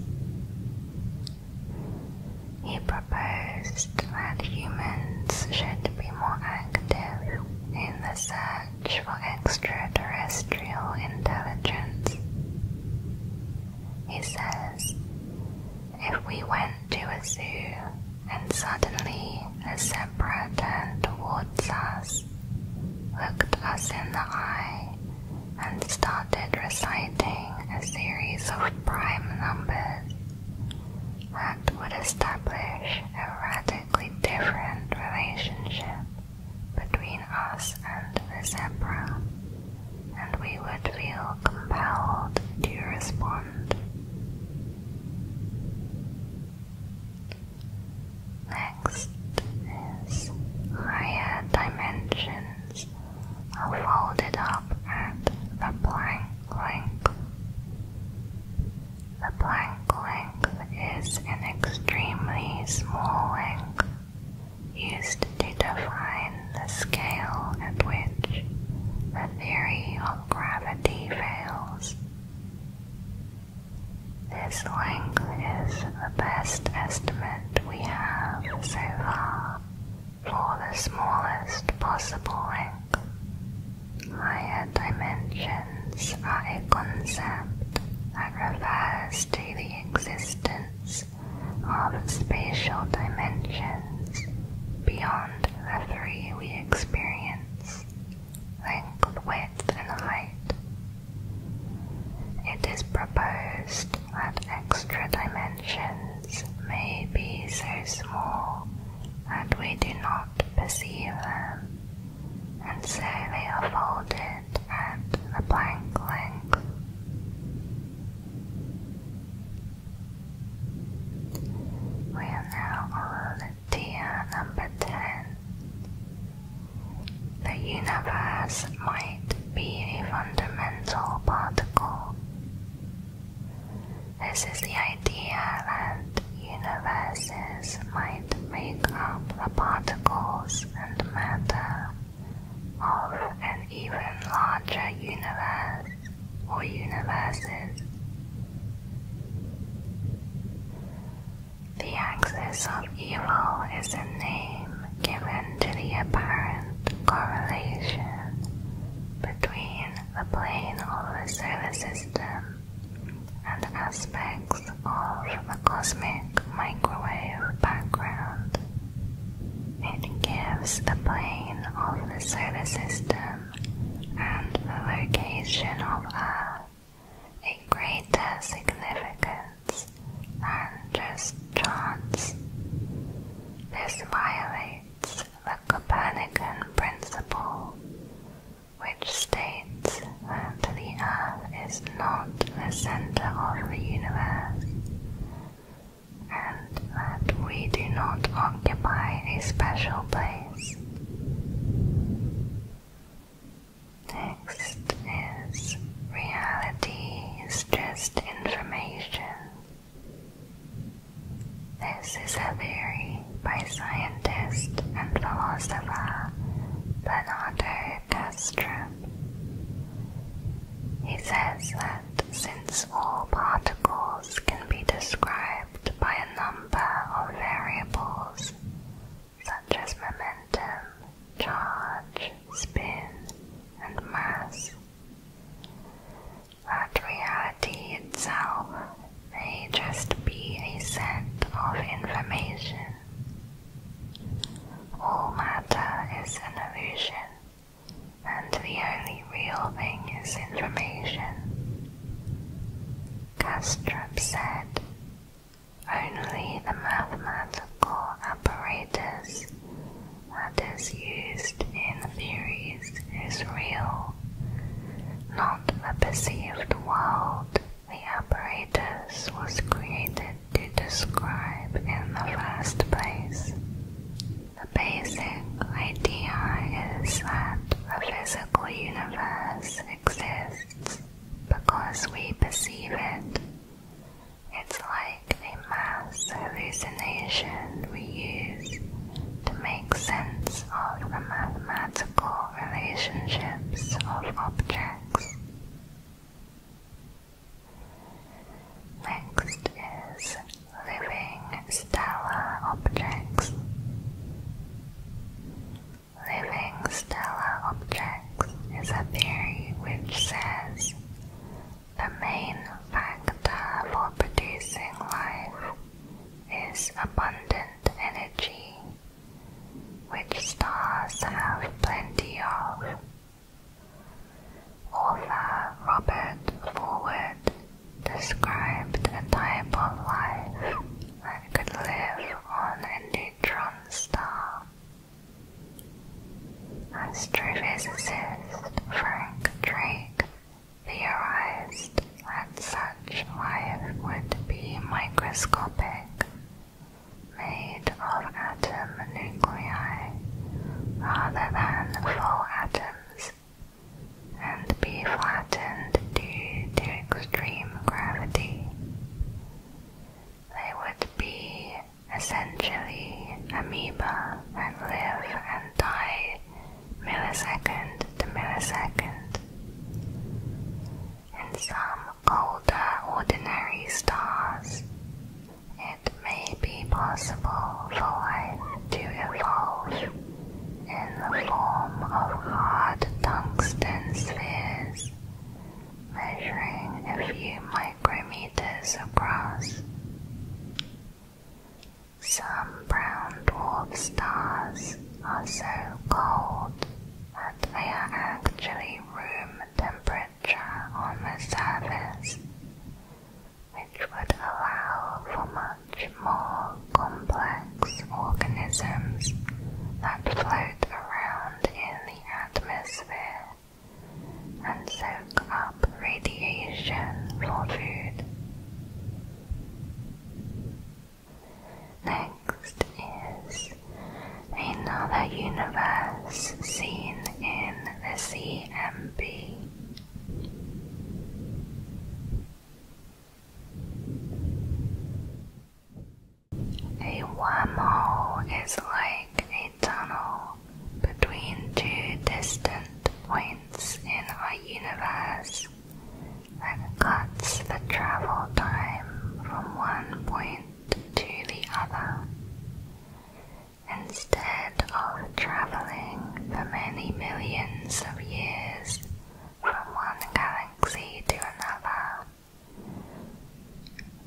He proposed that humans should be more active in the search for extraterrestrial intelligence. He says, if we went to a zoo and suddenly a zebra turned towards us, looked us in the eye, and started reciting a series of prime numbers, that would establish a radically different relationship between us and the zebra, and we would feel compelled to respond. Next is higher dimensions are folded up at the plank length. The plank length is an extremely small length used to define the scale at which the theory of gravity fails. This length is the best estimate we have so far for the smallest possible length. Higher dimensions are a concept that refers to the existence of spatial dimensions beyond the three we experience length, width, and height. It is proposed that extra dimensions may be so small that we do not perceive them and so they are folded at the blank length. We are now on deer number 10. The universe might be a fundamental particle. This is the idea that universes might make up the particles and matter of an even larger universe or universes. The axis of evil is a name given to the apparent correlation between the plane of the solar system and aspects effects of the cosmic microwave background. It gives the plane of the solar system and the location of Earth a greater significance than just chance. This violates the Copernican principle, which states that the Earth is not the center of the universe, and that we do not occupy a special place. Next is reality is just information. This is a theory by scientist and philosopher Bernardo he says that since all particles can be described by a number of variables, such as momentum, charge, spin, and mass, that reality itself may just be a set of information all matter is an illusion, and the only real thing is information. Kastrup said, Only the mathematical apparatus that is used in theories is real, not the perceived world the apparatus was created to describe in the first place. The basic idea is that the physical universe exists because we perceive it. It's like a mass hallucination we use to make sense of the mathematical relationships of objects. Next is living stellar objects. Living stellar objects is a theory which says the main factor for producing life is abundant energy, which stars have plenty of. Author Robert Forward described a type of life that could live on a neutron star. Astrophysicist Frank Drake theorized that such life would be microscopic made of atom nuclei rather than full atoms and be flattened due to extreme gravity. They would be essentially amoeba and live and die millisecond to millisecond. In some colder ordinary stars, it may be possible for life to evolve in the form of hard tungsten spheres measuring a few micrometers across. Some brown dwarf stars are so cold that they are actually room temperature on the surface, which would allow for much more complex organisms that float around in the atmosphere and soak up radiation for food. Next is another universe seen in the CMB. A wormhole is like a tunnel between two distant points in our universe that cuts the travel time from one point to the other. Instead of traveling for many millions of years from one galaxy to another,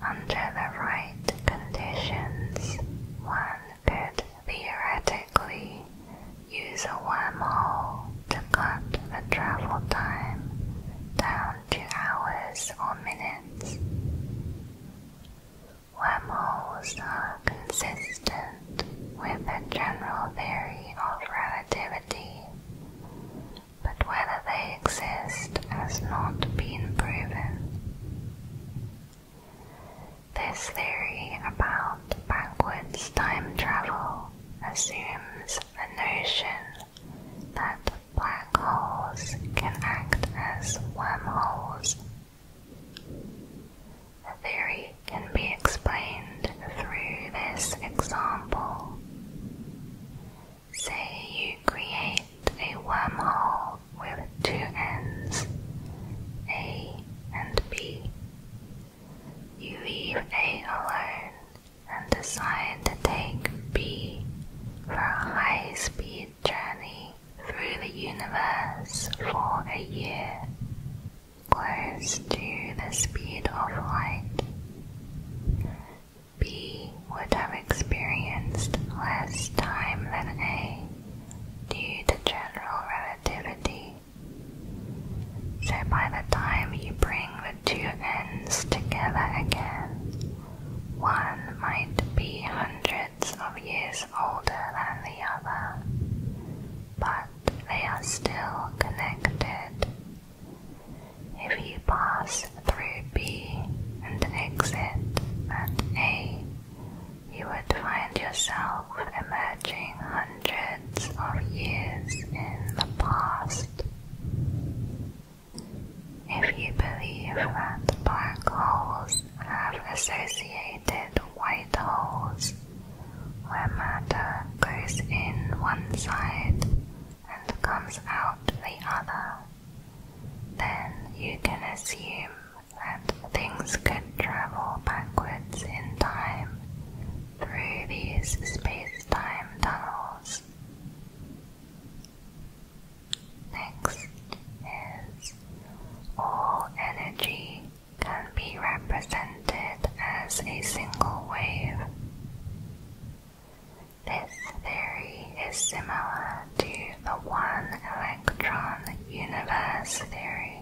under the right conditions, one could theoretically use a wormhole to cut the travel time down to hours or minutes. Wormholes are consistent with the general theory of relativity, but whether they exist has not been proven. This theory about backwards time travel assumes a notion that black holes can act as wormholes. The theory can be explained through this example. Say you create a wormhole with two ends, A and B. You leave A alone and decide to take B for high speed journey through the universe for a year, close to the speed of light. B would have experienced less time than A due to general relativity. So by the time you bring the two ends together again, one might be hundreds of years older than the other, but they are still connected. If you pass through B and exit at A, you would find yourself emerging hundreds of years in the past. If you believe that black holes have associated white holes, where matter goes in one side and comes out the other, then you can assume that things could travel backwards in time through these space-time tunnels. Next is all energy can be represented as a single wave. This theory is similar to the one electron universe theory.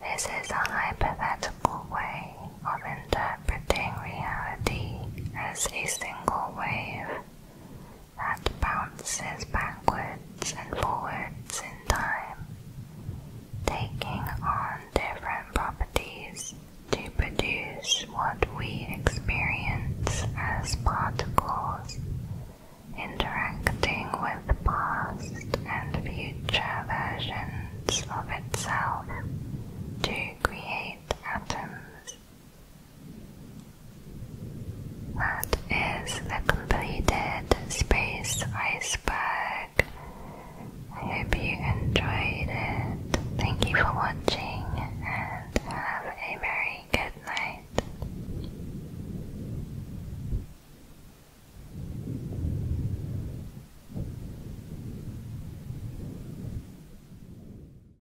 This is a hypothetical way of interpreting reality as a single wave that bounces backwards and forwards in time, taking on different properties to produce what we experience as particles interacting with past and future versions of itself to create atoms. That is the completed space iceberg. I hope you enjoyed it. Thank you for watching and have a very good night.